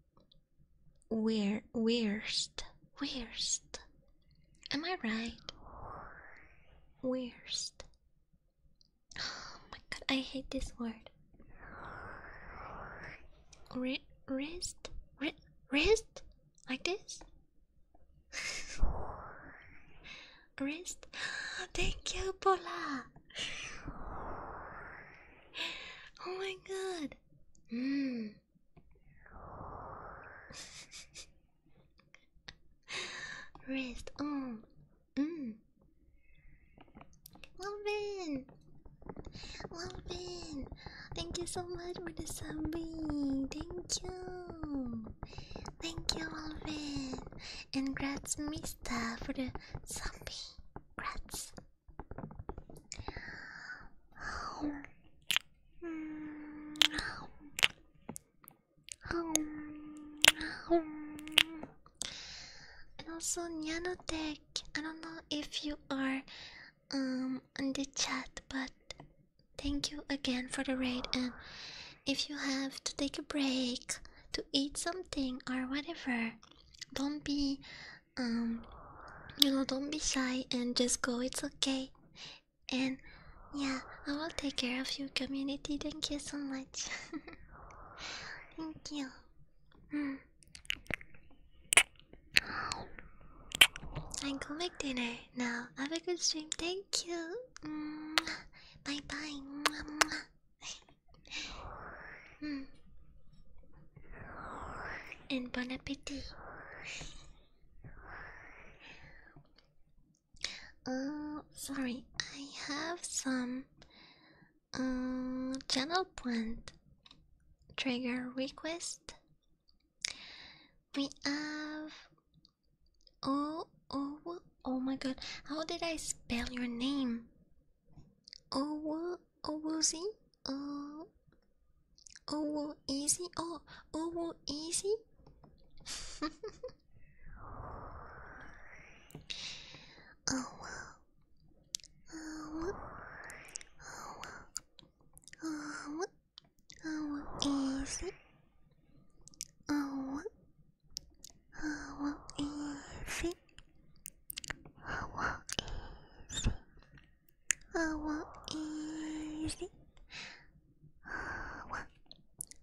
where, worst, worst, Am I right? Worst. Oh my god, I hate this word. R wrist? wrist? Like this? *laughs* wrist? *gasps* Thank you, Paula! *gasps* Oh my god! Mmm. Rest. Oh. Mm. Lovin. Lovin. Thank you so much for the zombie. Thank you. Thank you, Alvin. And congrats, Mister, for the zombie. Congrats. And also Nanotech, I don't know if you are um in the chat, but thank you again for the raid and if you have to take a break to eat something or whatever, don't be um you know don't be shy and just go, it's okay and yeah, I will take care of you, community. Thank you so much. *laughs* Thank you. Mm. I go make dinner now. Have a good stream. Thank you. Bye bye. *laughs* Hmm. And bon appetit. Uh, sorry, I have some uh, channel point trigger request. We have oh oh oh my god! How did I spell your name? Oh, oh, oh, Oh, easy. Oh, oh, easy. oh wow. Oh, oh, oh, oh, easy. Oh, oh, easy. Oh, easy. I want easy. I want,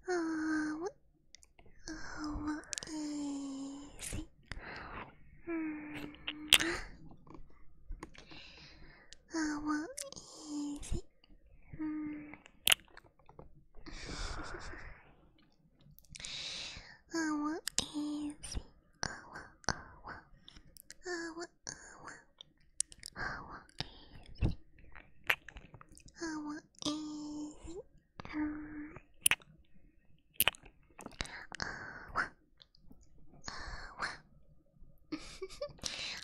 I want, I want easy. Mm -hmm. I want easy. Mm. I want easy. I want, I want, I want our is our is um, our, our.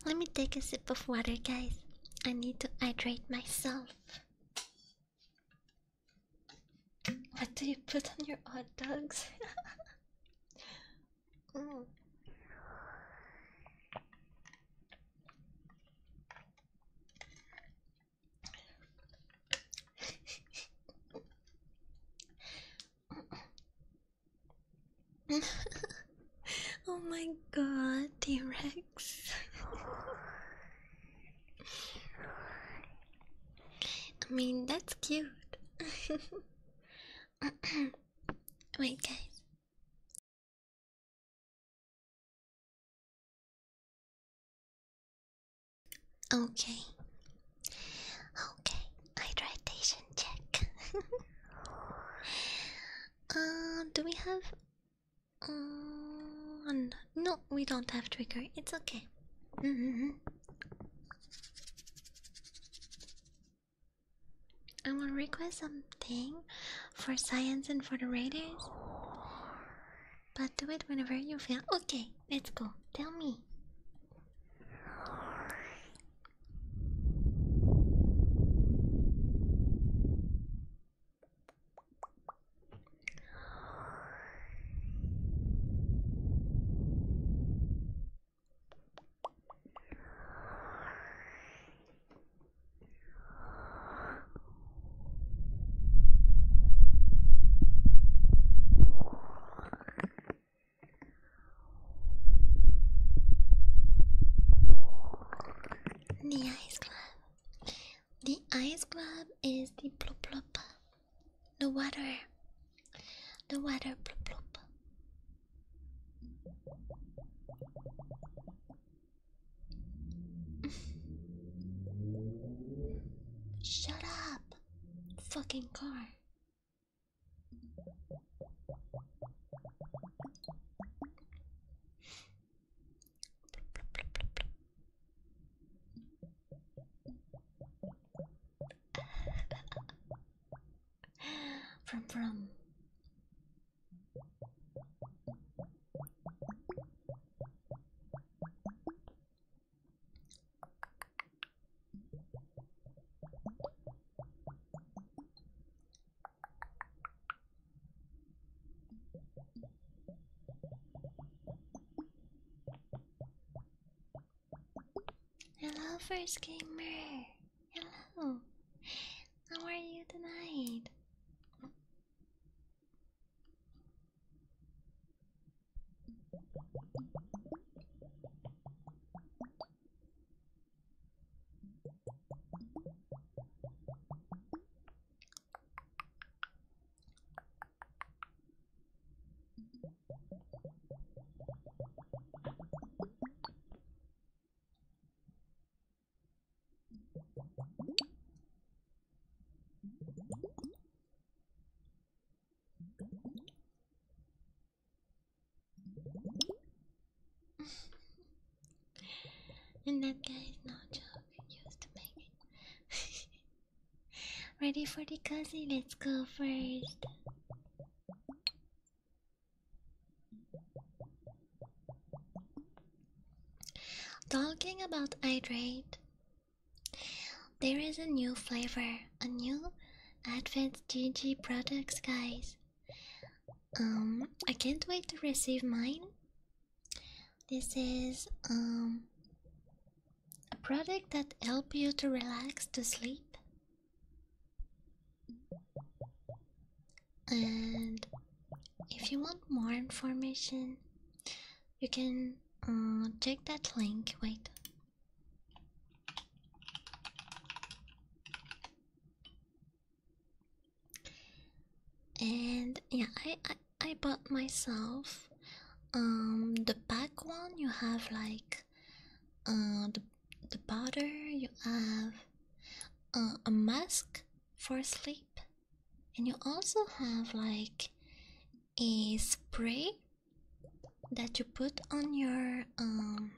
Let me take a sip of water, guys. I need to hydrate myself. What do you put on your hot dogs? *laughs* Mm. *laughs* oh my god, T Rex. I mean, that's cute. *laughs* Wait, guys. Okay. Okay. Hydration check. *laughs* uh, do we have? Um, no, we don't have trigger. It's okay. Mm-hmm. I want to request something for science and for the raiders. But do it whenever you feel. Okay, let's go. Tell me. The ice club. The ice club is the plop plop. The water. The water plop Shut up, fucking car from from. Hello, first gamer. Hello. Oh. How are you tonight? *laughs* and that guy is used to make it. Ready for the cozy? Let's go first. Talking about hydrate, there is a new flavor, a new Advanced GG products, guys. Um, I can't wait to receive mine. This is um a product that help you to relax to sleep and if you want more information, you can check uh, that link. Wait. And yeah, I, I I bought myself um the back one. You have like uh the the powder, you have uh, a mask for sleep, and you also have like a spray that you put on your um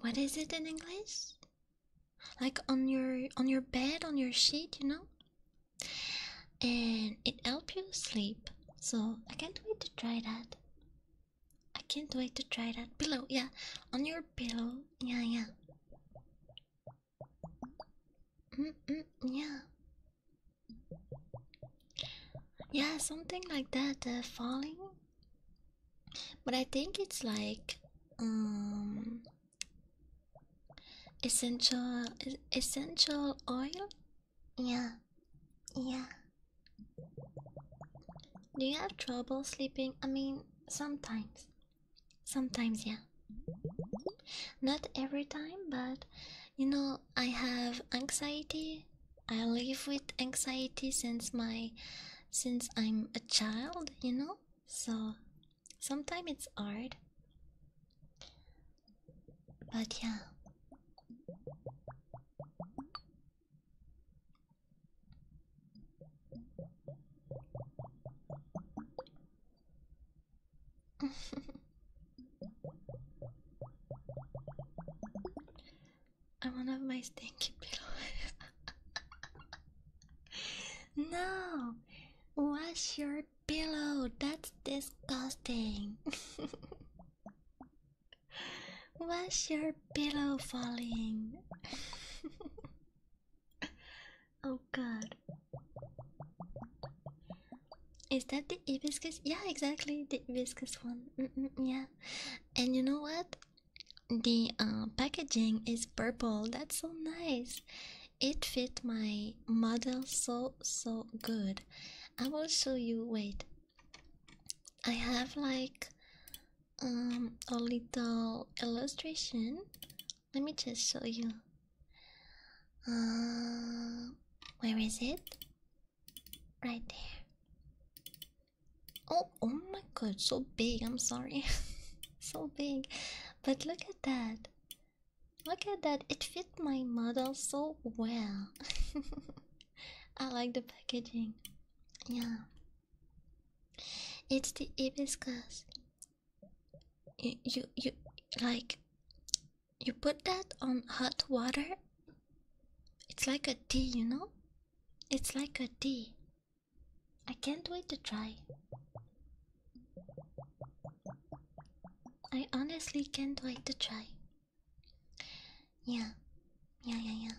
what is it in english like on your on your bed on your sheet you know and it helps you sleep so i can't wait to try that I can't wait to try that pillow. Yeah, on your pillow. Yeah, yeah. Mm -mm, yeah. Yeah, something like that. Uh, falling. But I think it's like um essential essential oil. Yeah. Yeah. Do you have trouble sleeping? I mean, sometimes. Sometimes, yeah. Not every time, but you know, I have anxiety. I live with anxiety since my since I'm a child, you know? So sometimes it's hard. But yeah. *laughs* I want to have my stinky pillow. *laughs* no, wash your pillow. That's disgusting. *laughs* What's your pillow falling? oh god. Is that the hibiscus? Yeah, exactly, the hibiscus one. yeah. And you know what? The uh, packaging is purple. That's so nice. It fit my model so, so good. I will show you. Wait. I have like um, a little illustration. Let me just show you. Uh, where is it? Right there. Oh, oh my god, so big. I'm sorry. *laughs* so big. But look at that. Look at that. It fit my model so well. *laughs* I like the packaging. Yeah. It's the hibiscus. You, you, you, like, you put that on hot water. It's like a tea, you know? It's like a tea. I can't wait to try. I honestly can't wait to try. Yeah, yeah, yeah, yeah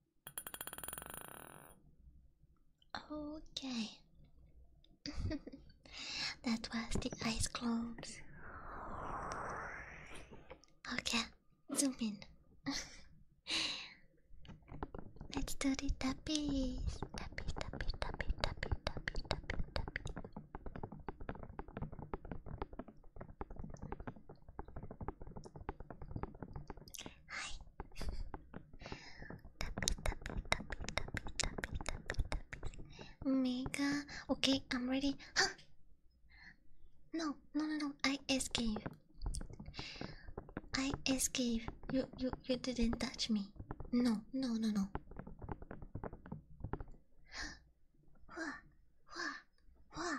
Okay. *laughs* that was the eyes closed. Okay, zoom in. *laughs* Let's do the tappies. Tappy, tappy, tappy, tappy, tappy, tappy, tappy. Mega. Okay, I'm ready. Huh? No, no, no, no. I escaped. I escaped. You, you, you didn't touch me. No, no, no, no. Wah, wah, wah,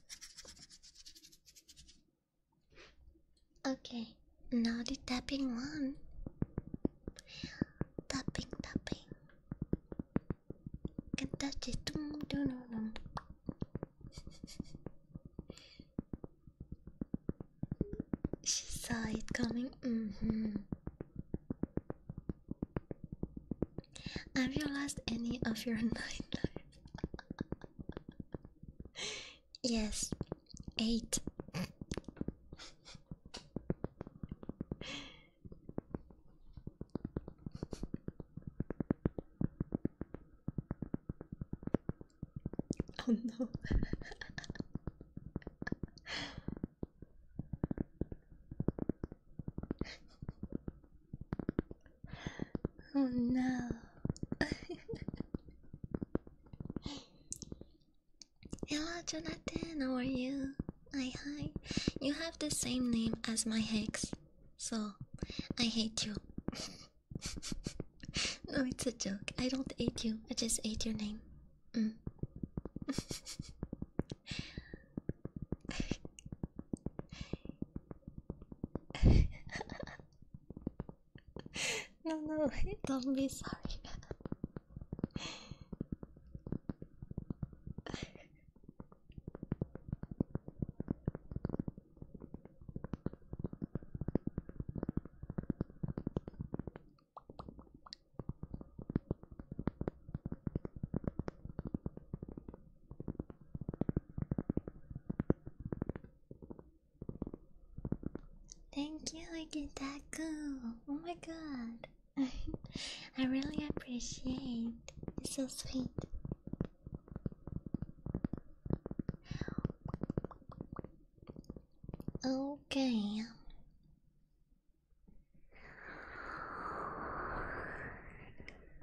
Okay, now the tapping one. Tapping, tapping. Can touch it. she saw it coming. Mm -hmm. Have you lost any of your night *laughs* nightlife? yes, eight. oh no. Oh no. *laughs* Hello, Jonathan. How are you? Hi, hi. You have the same name as my ex, so I hate you. *laughs* no, it's a joke. I don't hate you. I just hate your name. Mm. *laughs* no, *laughs* no, don't be sorry. Thank you, Kitaku. Oh my god. *laughs* I really appreciate. It's so sweet. Okay.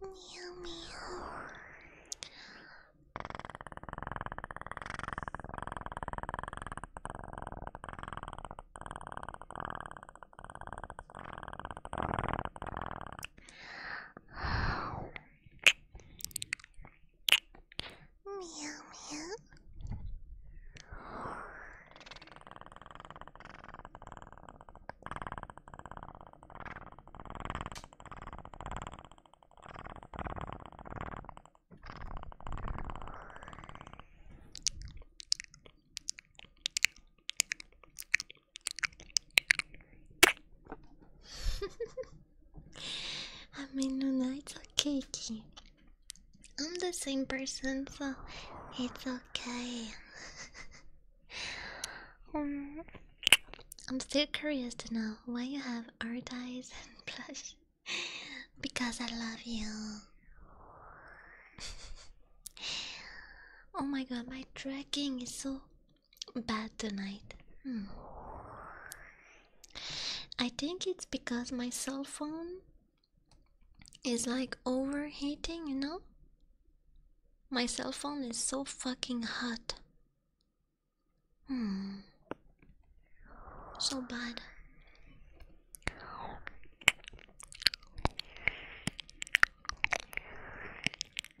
Meow meow. Meow meow. *laughs* *laughs* I mean, no, it's okay, Key. I'm the same person, so it's okay. *laughs* Um, I'm still curious to know why you have art eyes and *laughs* blush. because I love you. *laughs* oh my god, my tracking is so bad tonight. Hmm. I think it's because my cell phone is like overheating, you know? My cell phone is so fucking hot. Hmm. So bad.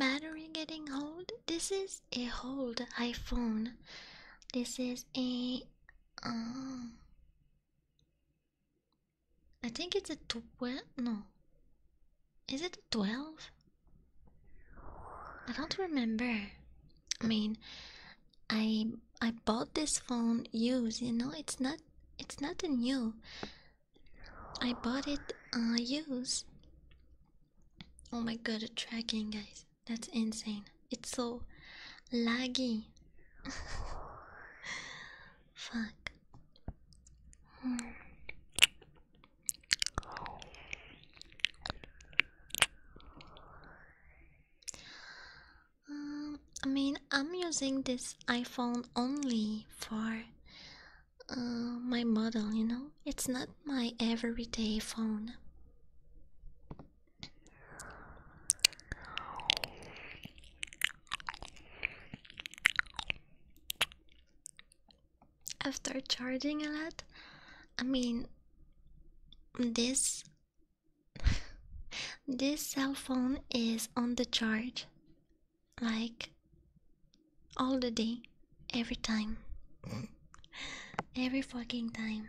battery getting old. This is a hold iPhone. This is a. Um, I think it's a twelve. No, is it a twelve? I don't remember. I mean, I I bought this phone used. You know, it's not it's not a new. I bought it uh, used. Oh my god, tracking, guys. That's insane. It's so laggy. *laughs* Fuck. Hmm. Um, I mean, I'm using this iPhone only for uh, my model, you know? It's not my everyday phone. After charging a lot, I mean, this *laughs* this cell phone is on the charge like all the day, every time, every fucking time.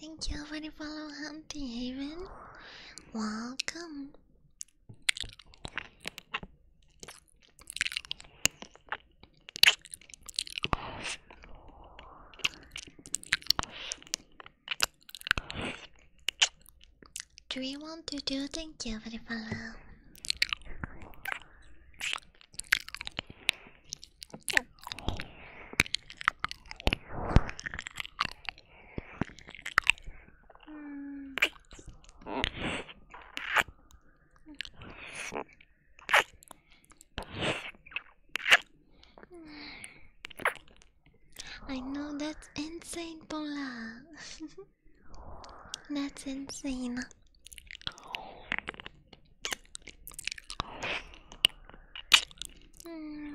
Thank you for the follow, Hunting Haven. Welcome. Do you want to do? Thank you for the follow. I know that's insane, Paula. *laughs* that's insane. Hmm.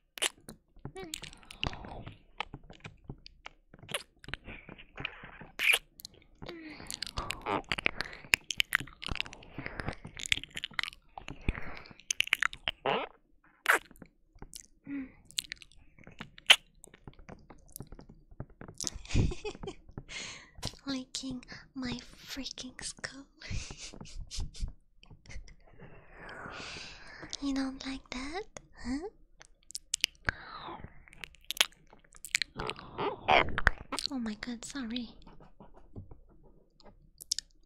*laughs* Licking my freaking skull. *laughs* you don't like that, huh? Oh my god, sorry.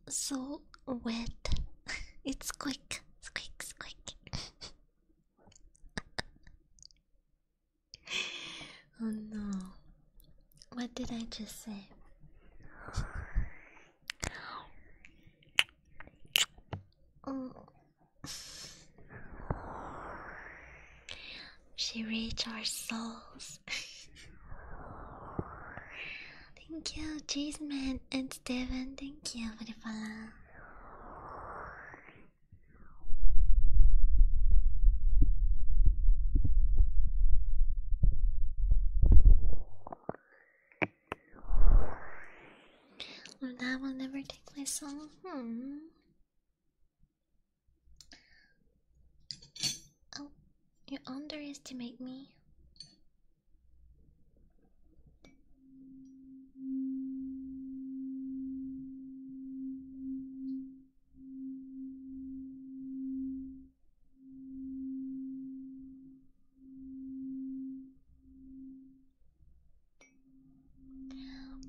So wet. *laughs* it's quick, it's quick, quick. *laughs* oh no. What did I just say? Oh. She reached our souls. thank you, Cheese Man and Steven. Thank you for the follow. That will never take my soul. Hmm. Oh, you underestimate me.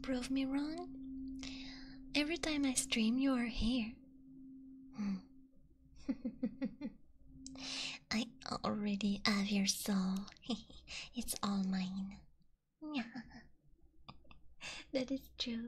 Prove me wrong? Every time I stream, you are here. Hmm. *laughs* I already have your soul. *laughs* it's all mine. *laughs* that is true.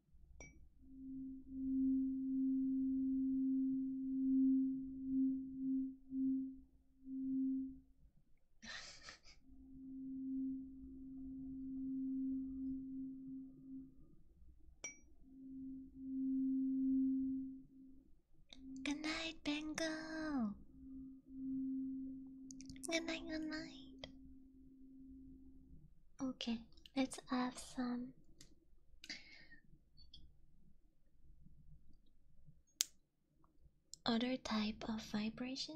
good night, Bengo. Good night, good night. Okay, let's add some other type of vibration.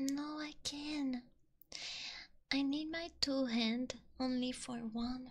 No, I can. I need my two hand only for one.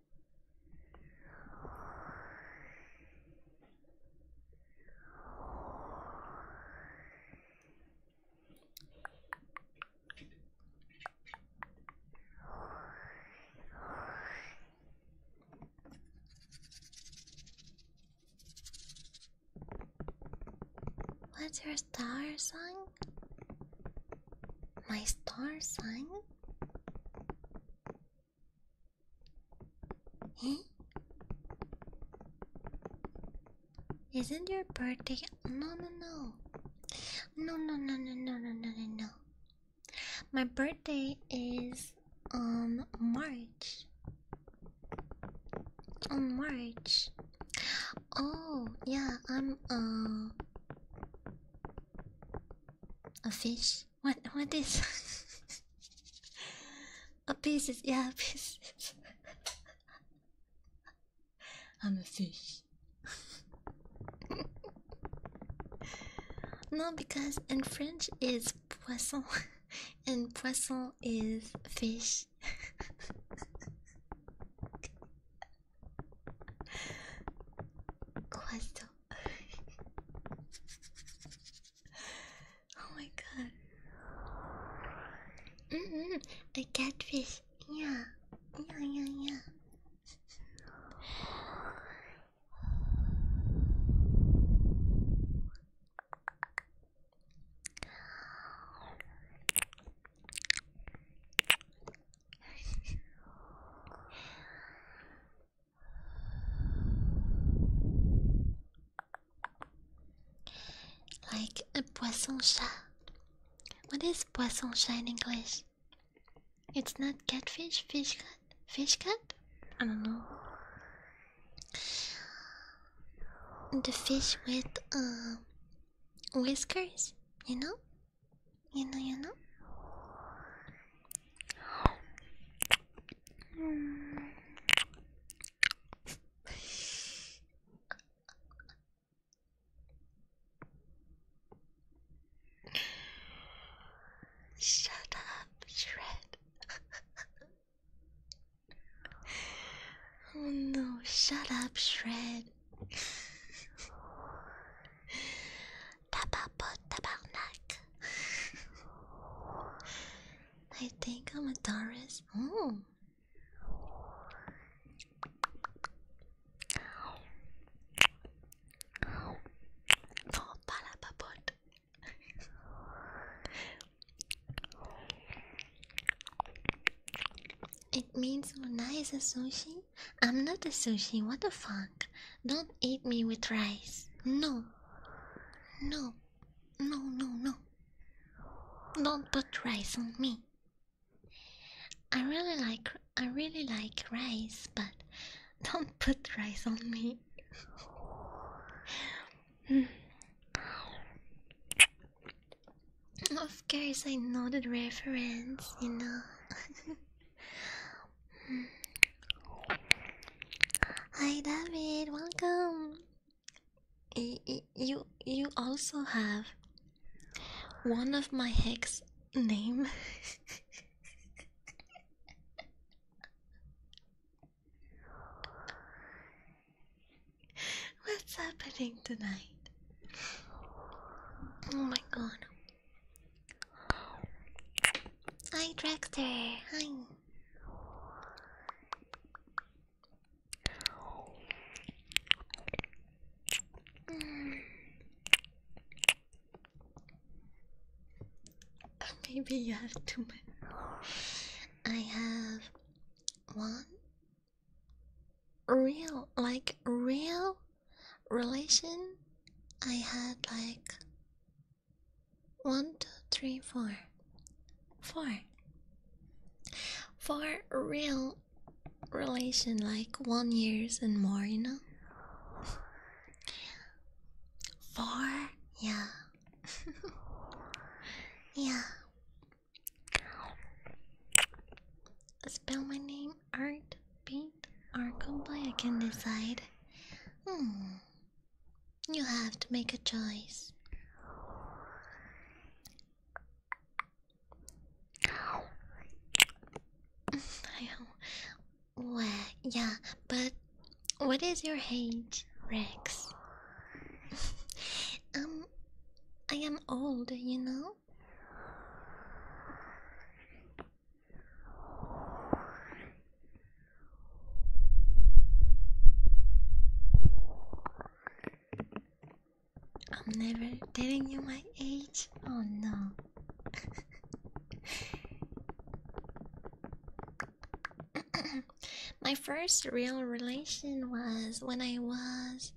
What's your star sign? My star sign? Eh? *gasps* Isn't your birthday? No, no, no. No, no, no, no, no, no, no, no, no. My birthday is on um, March. On oh, March. Oh, yeah, I'm uh, a fish. What what is *laughs* a pieces? Yeah, pieces. I'm a fish. no, because in French is poisson, *laughs* and poisson is fish. Poisson. *laughs* *laughs* oh my god. Mm -hmm. A catfish. Yeah. Yeah, yeah, yeah. Like a poisson chat. What is poisson chat in English? It's not catfish, fish cut, fish cut. I don't know. The fish with uh, whiskers, you know? You know, you know. Shut up, Shred. oh no, shut up, Shred. Tababo tabarnak. I think I'm a Taurus. Oh. Oh, palapapot. It means nice a sushi. I'm not a sushi. What the fuck? Don't eat me with rice. No. No. No, no, no. Don't put rice on me. I really like I really like rice, but don't put rice on me. Hmm. of course I know the reference, you know. *laughs* Hi David, welcome. you you also have one of my hex name. *laughs* What's happening tonight? Oh my god. Hi, Dractor. Hi. *laughs* Maybe you have too many. I have one real, like real relation. I had like one, two, For real relation, like one years and more, you know? Four, yeah. *laughs* yeah. Spell my name, Art B me or Kumbaya can decide. Hmm. You have to make a choice. *laughs* well, yeah, but what is your age, Rex? *laughs* um, I am old, you know? I'm never telling you my age. Oh no. *laughs* my first real relation was when I was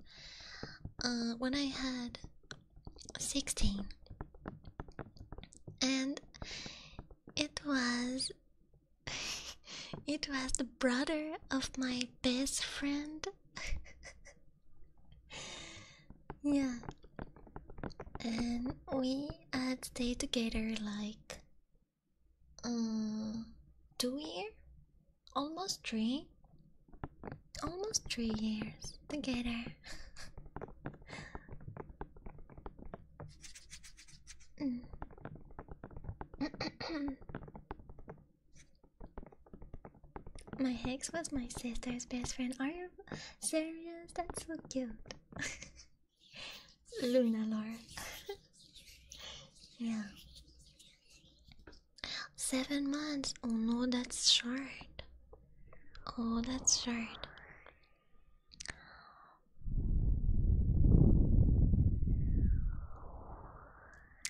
uh, when I had 16. And it was. *laughs* it was the brother of my best friend. *laughs* yeah. And we had uh, stayed together like. Uh, two years? Almost three? Almost three years together my Hex was my sister's best friend. Are you serious? That's so cute. *laughs* Luna Laura. yeah. Seven months. Oh no, that's short. Oh, that's short.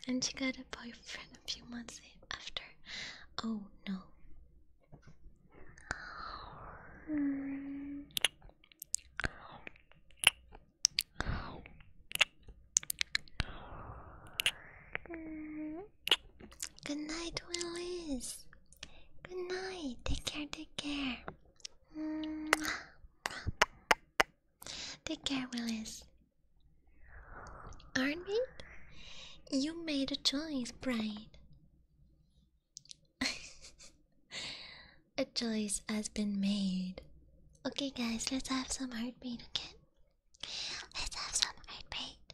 And she got a boyfriend a few months after. Oh no. Good night, Willis. Good night. Take care. Take care. Take care, Willis. Aren't we? You made a choice, Brian. *laughs* a choice has been made. Okay, guys, let's have some heartbeat, okay? Let's have some heartbeat.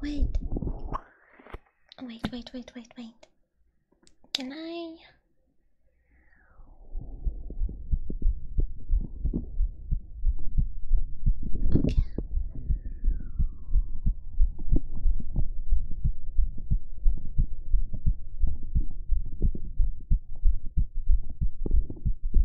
Wait. Wait, wait, wait, wait, wait. Can I? Okay.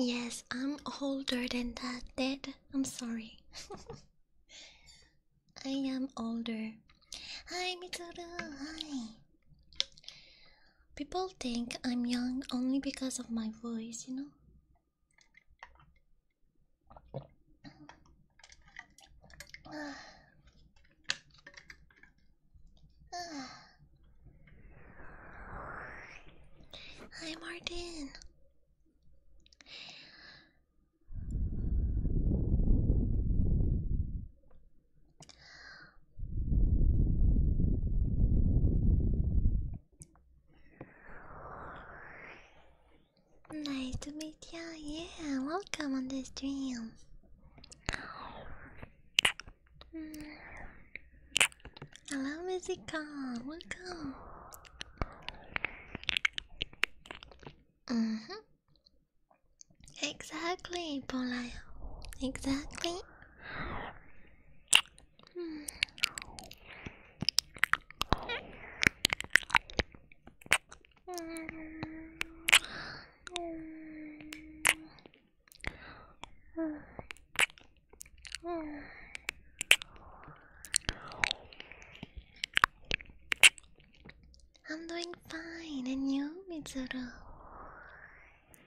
Yes, I'm older than that, Dad. I'm sorry. *laughs* I am older. Hi, Mitsuru. Hi. People think I'm young only because of my voice, you know? Hi, Martin. Nice to meet you. Yeah, welcome on this dream. Mm. Hello, Musicon. Welcome. Mhm. Mm exactly, Polaya. Exactly. I'm doing fine, and you, Mitsuru?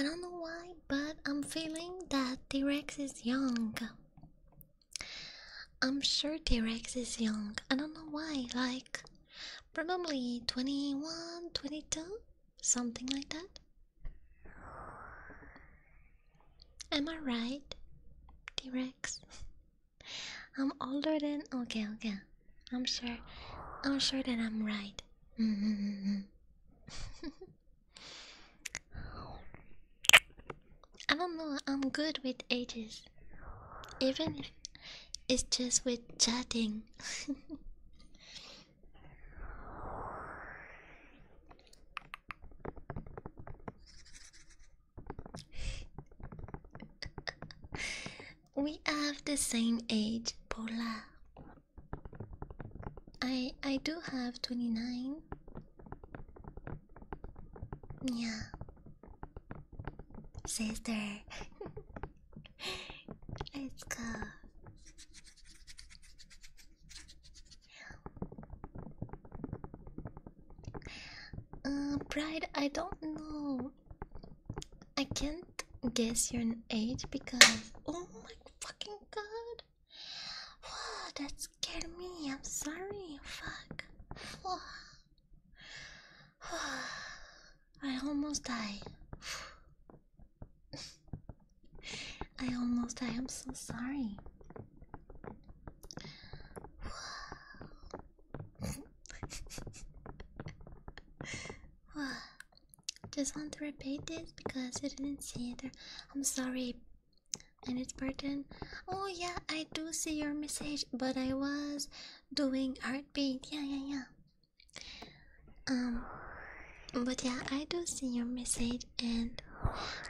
I don't know why, but I'm feeling that T Rex is young. I'm sure T-Rex is young. I don't know why, like probably 21, 22, something like that. Am I right? T-Rex. *laughs* I'm older than okay, okay. I'm sure I'm sure that I'm right. *laughs* I don't know, I'm good with ages. Even if it's just with chatting. *laughs* we have the same age, Paula. I I do have twenty nine. Yeah. Sister, let's go. Uh, Bride, I don't know. I can't guess your age because. Oh my fucking god! Whoa, that scared me. I'm sorry. Fuck. Whoa. *sighs* I almost died. *sighs* I almost died. I'm so sorry. *sighs* Just want to repeat this because I didn't see it. I'm sorry. And it's pardon. Oh yeah, I do see your message, but I was doing heartbeat. Yeah, yeah, yeah. Um, but yeah, I do see your message and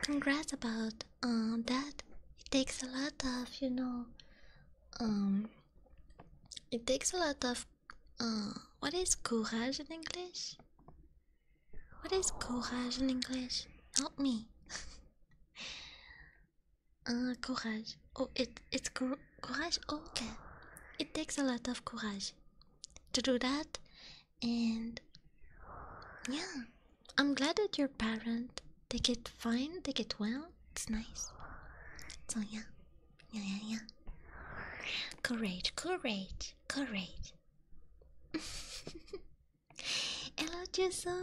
congrats about um that. It takes a lot of you know, um, it takes a lot of uh, what is courage in English? What is courage in English? Help me. *laughs* Ah, courage. Oh, it it's courage. Okay, it takes a lot of courage to do that, and yeah, I'm glad that your parent they get fine, they get well. It's nice. So yeah, yeah, yeah, yeah. Courage, courage, courage. *laughs* Hello, Juso.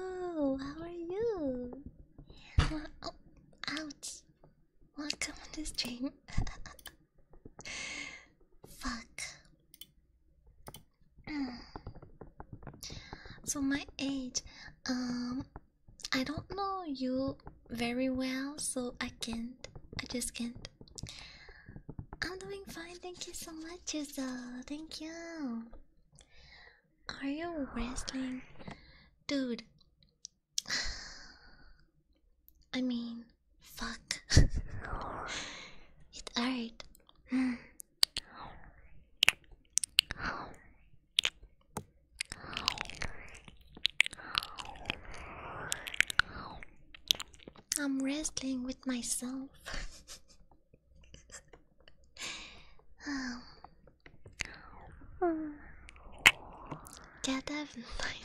How are you? Well, Welcome to stream. *laughs* Fuck. Mm. so my age, um, I don't know you very well, so I can't. I just can't. I'm doing fine. Thank you so much, Yuzo. Thank you. Are you wrestling? Dude. *sighs* I mean, fuck. *laughs* it's art. *sighs* I'm wrestling with myself. *laughs* um, get that *laughs* my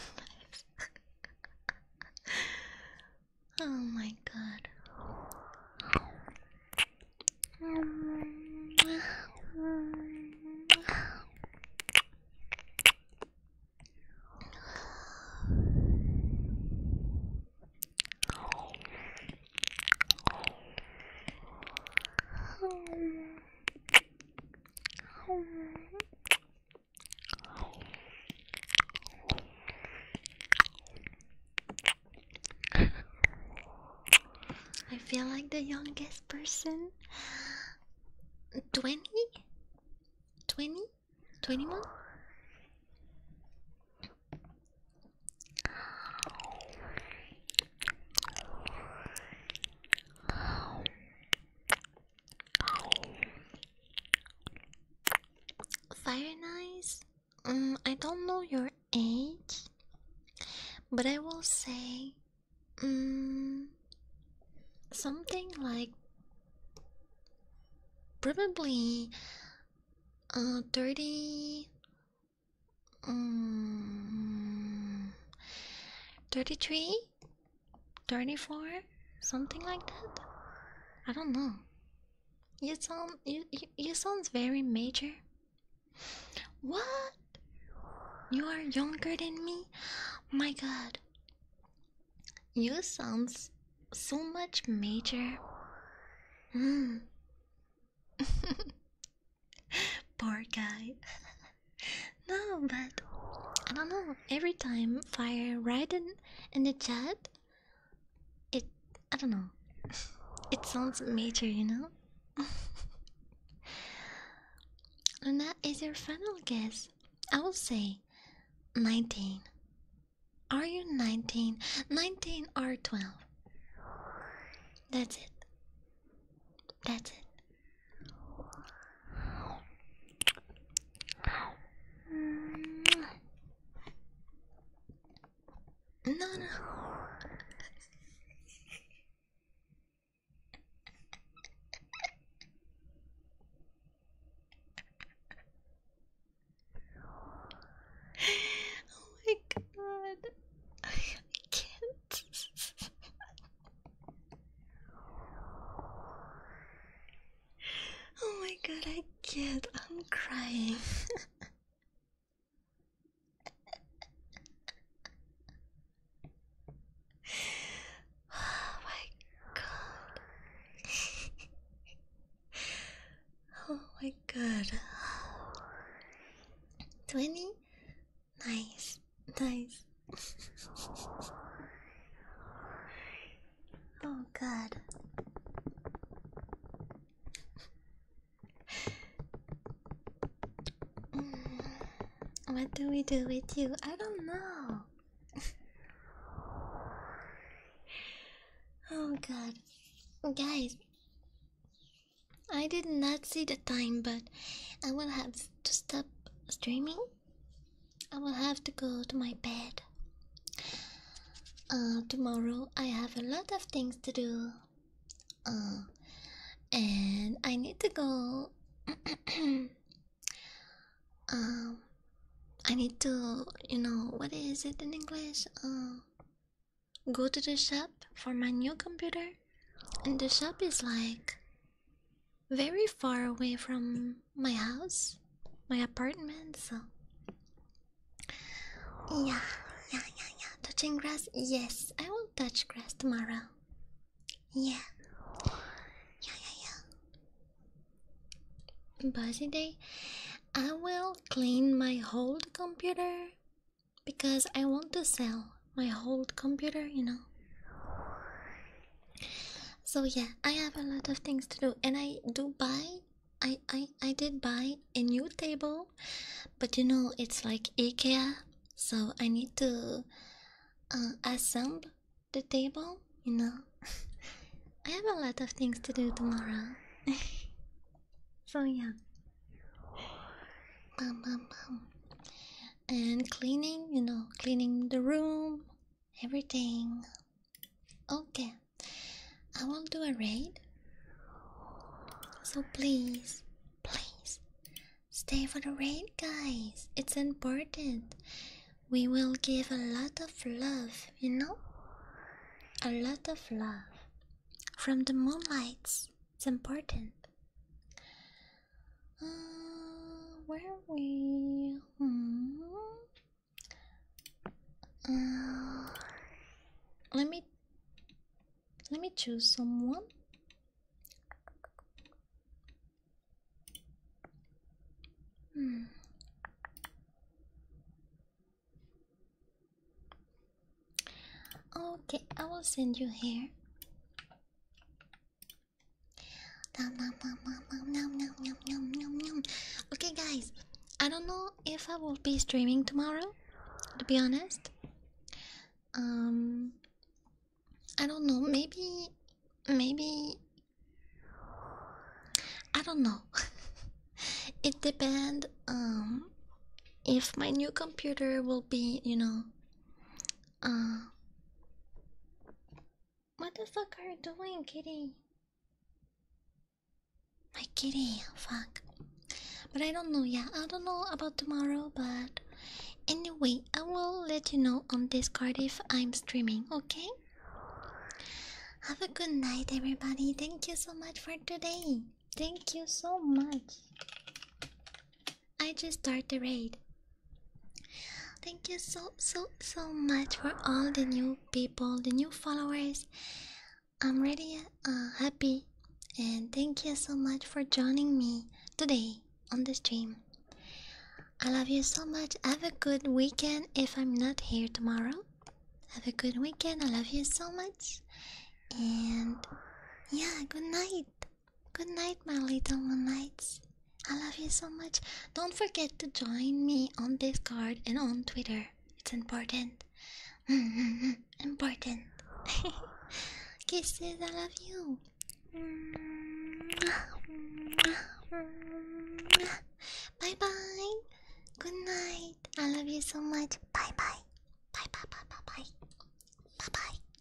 Oh my god. I feel like the youngest person. 20? 20? 21? Fire nice. Um, I don't know your age, but I will say, um, something like probably uh, 30 Mm, 33? 34? Something like that? I don't know. You sound you, you you sounds very major. What? You are younger than me? My god. You sounds so much major. Mm. *laughs* Poor guy. no, but I don't know. Every time fire right in, in the chat, it I don't know. It sounds major, you know. and *laughs* that is your final guess. I will say 19. Are you 19? 19 or 12? That's it. That's it. No, no. *gasps* oh my god. *laughs* can't. oh my god, I can't. I'm crying. oh my god. oh my god. 20 Nice, nice. oh, God. Mm. What do we do with you? I don't know. oh, God. Guys, I did not see the time, but I will have to stop streaming. I will have to go to my bed. Uh, tomorrow I have a lot of things to do. Uh, and I need to go. *clears throat* um, I need to, you know, what is it in English? Uh, go to the shop for my new computer, and the shop is like very far away from my house, my apartment, so yeah, yeah, yeah, yeah. Touching grass, yes, I will touch grass tomorrow. Yeah, yeah, yeah, yeah. Busy day. I will clean my old computer because I want to sell my old computer, you know. So yeah, I have a lot of things to do and I do buy I I I did buy a new table, but you know it's like IKEA, so I need to uh, assemble the table, you know. *laughs* I have a lot of things to do tomorrow. *laughs* so yeah. Bum, bum, bum. And cleaning, you know, cleaning the room, everything. Okay, I will do a raid. So please, please stay for the raid, guys. It's important. We will give a lot of love, you know? A lot of love from the moonlights. It's important. Uh, where are we? Hmm. Uh, let me let me choose someone. Hmm. Okay, I will send you here. Okay, guys, I don't know if I will be streaming tomorrow, to be honest. Um, I don't know, maybe, maybe, I don't know. it depends um, if my new computer will be, you know, uh, what the fuck are you doing, kitty? My kitty, fuck. But I don't know, yeah, I don't know about tomorrow, but anyway, I will let you know on Discord if I'm streaming, okay? Have a good night, everybody. Thank you so much for today. Thank you so much. I just start the raid. Thank you so so so much for all the new people, the new followers. I'm really uh, happy and thank you so much for joining me today on the stream. I love you so much. Have a good weekend if I'm not here tomorrow. Have a good weekend. I love you so much. And yeah, good night. Good night, my little moonlights. I love you so much. Don't forget to join me on Discord and on Twitter. It's important. *laughs* important. *laughs* Kisses, I love you. Bye bye. Good night. I love you so much. Bye bye. Bye bye bye bye bye. Bye bye.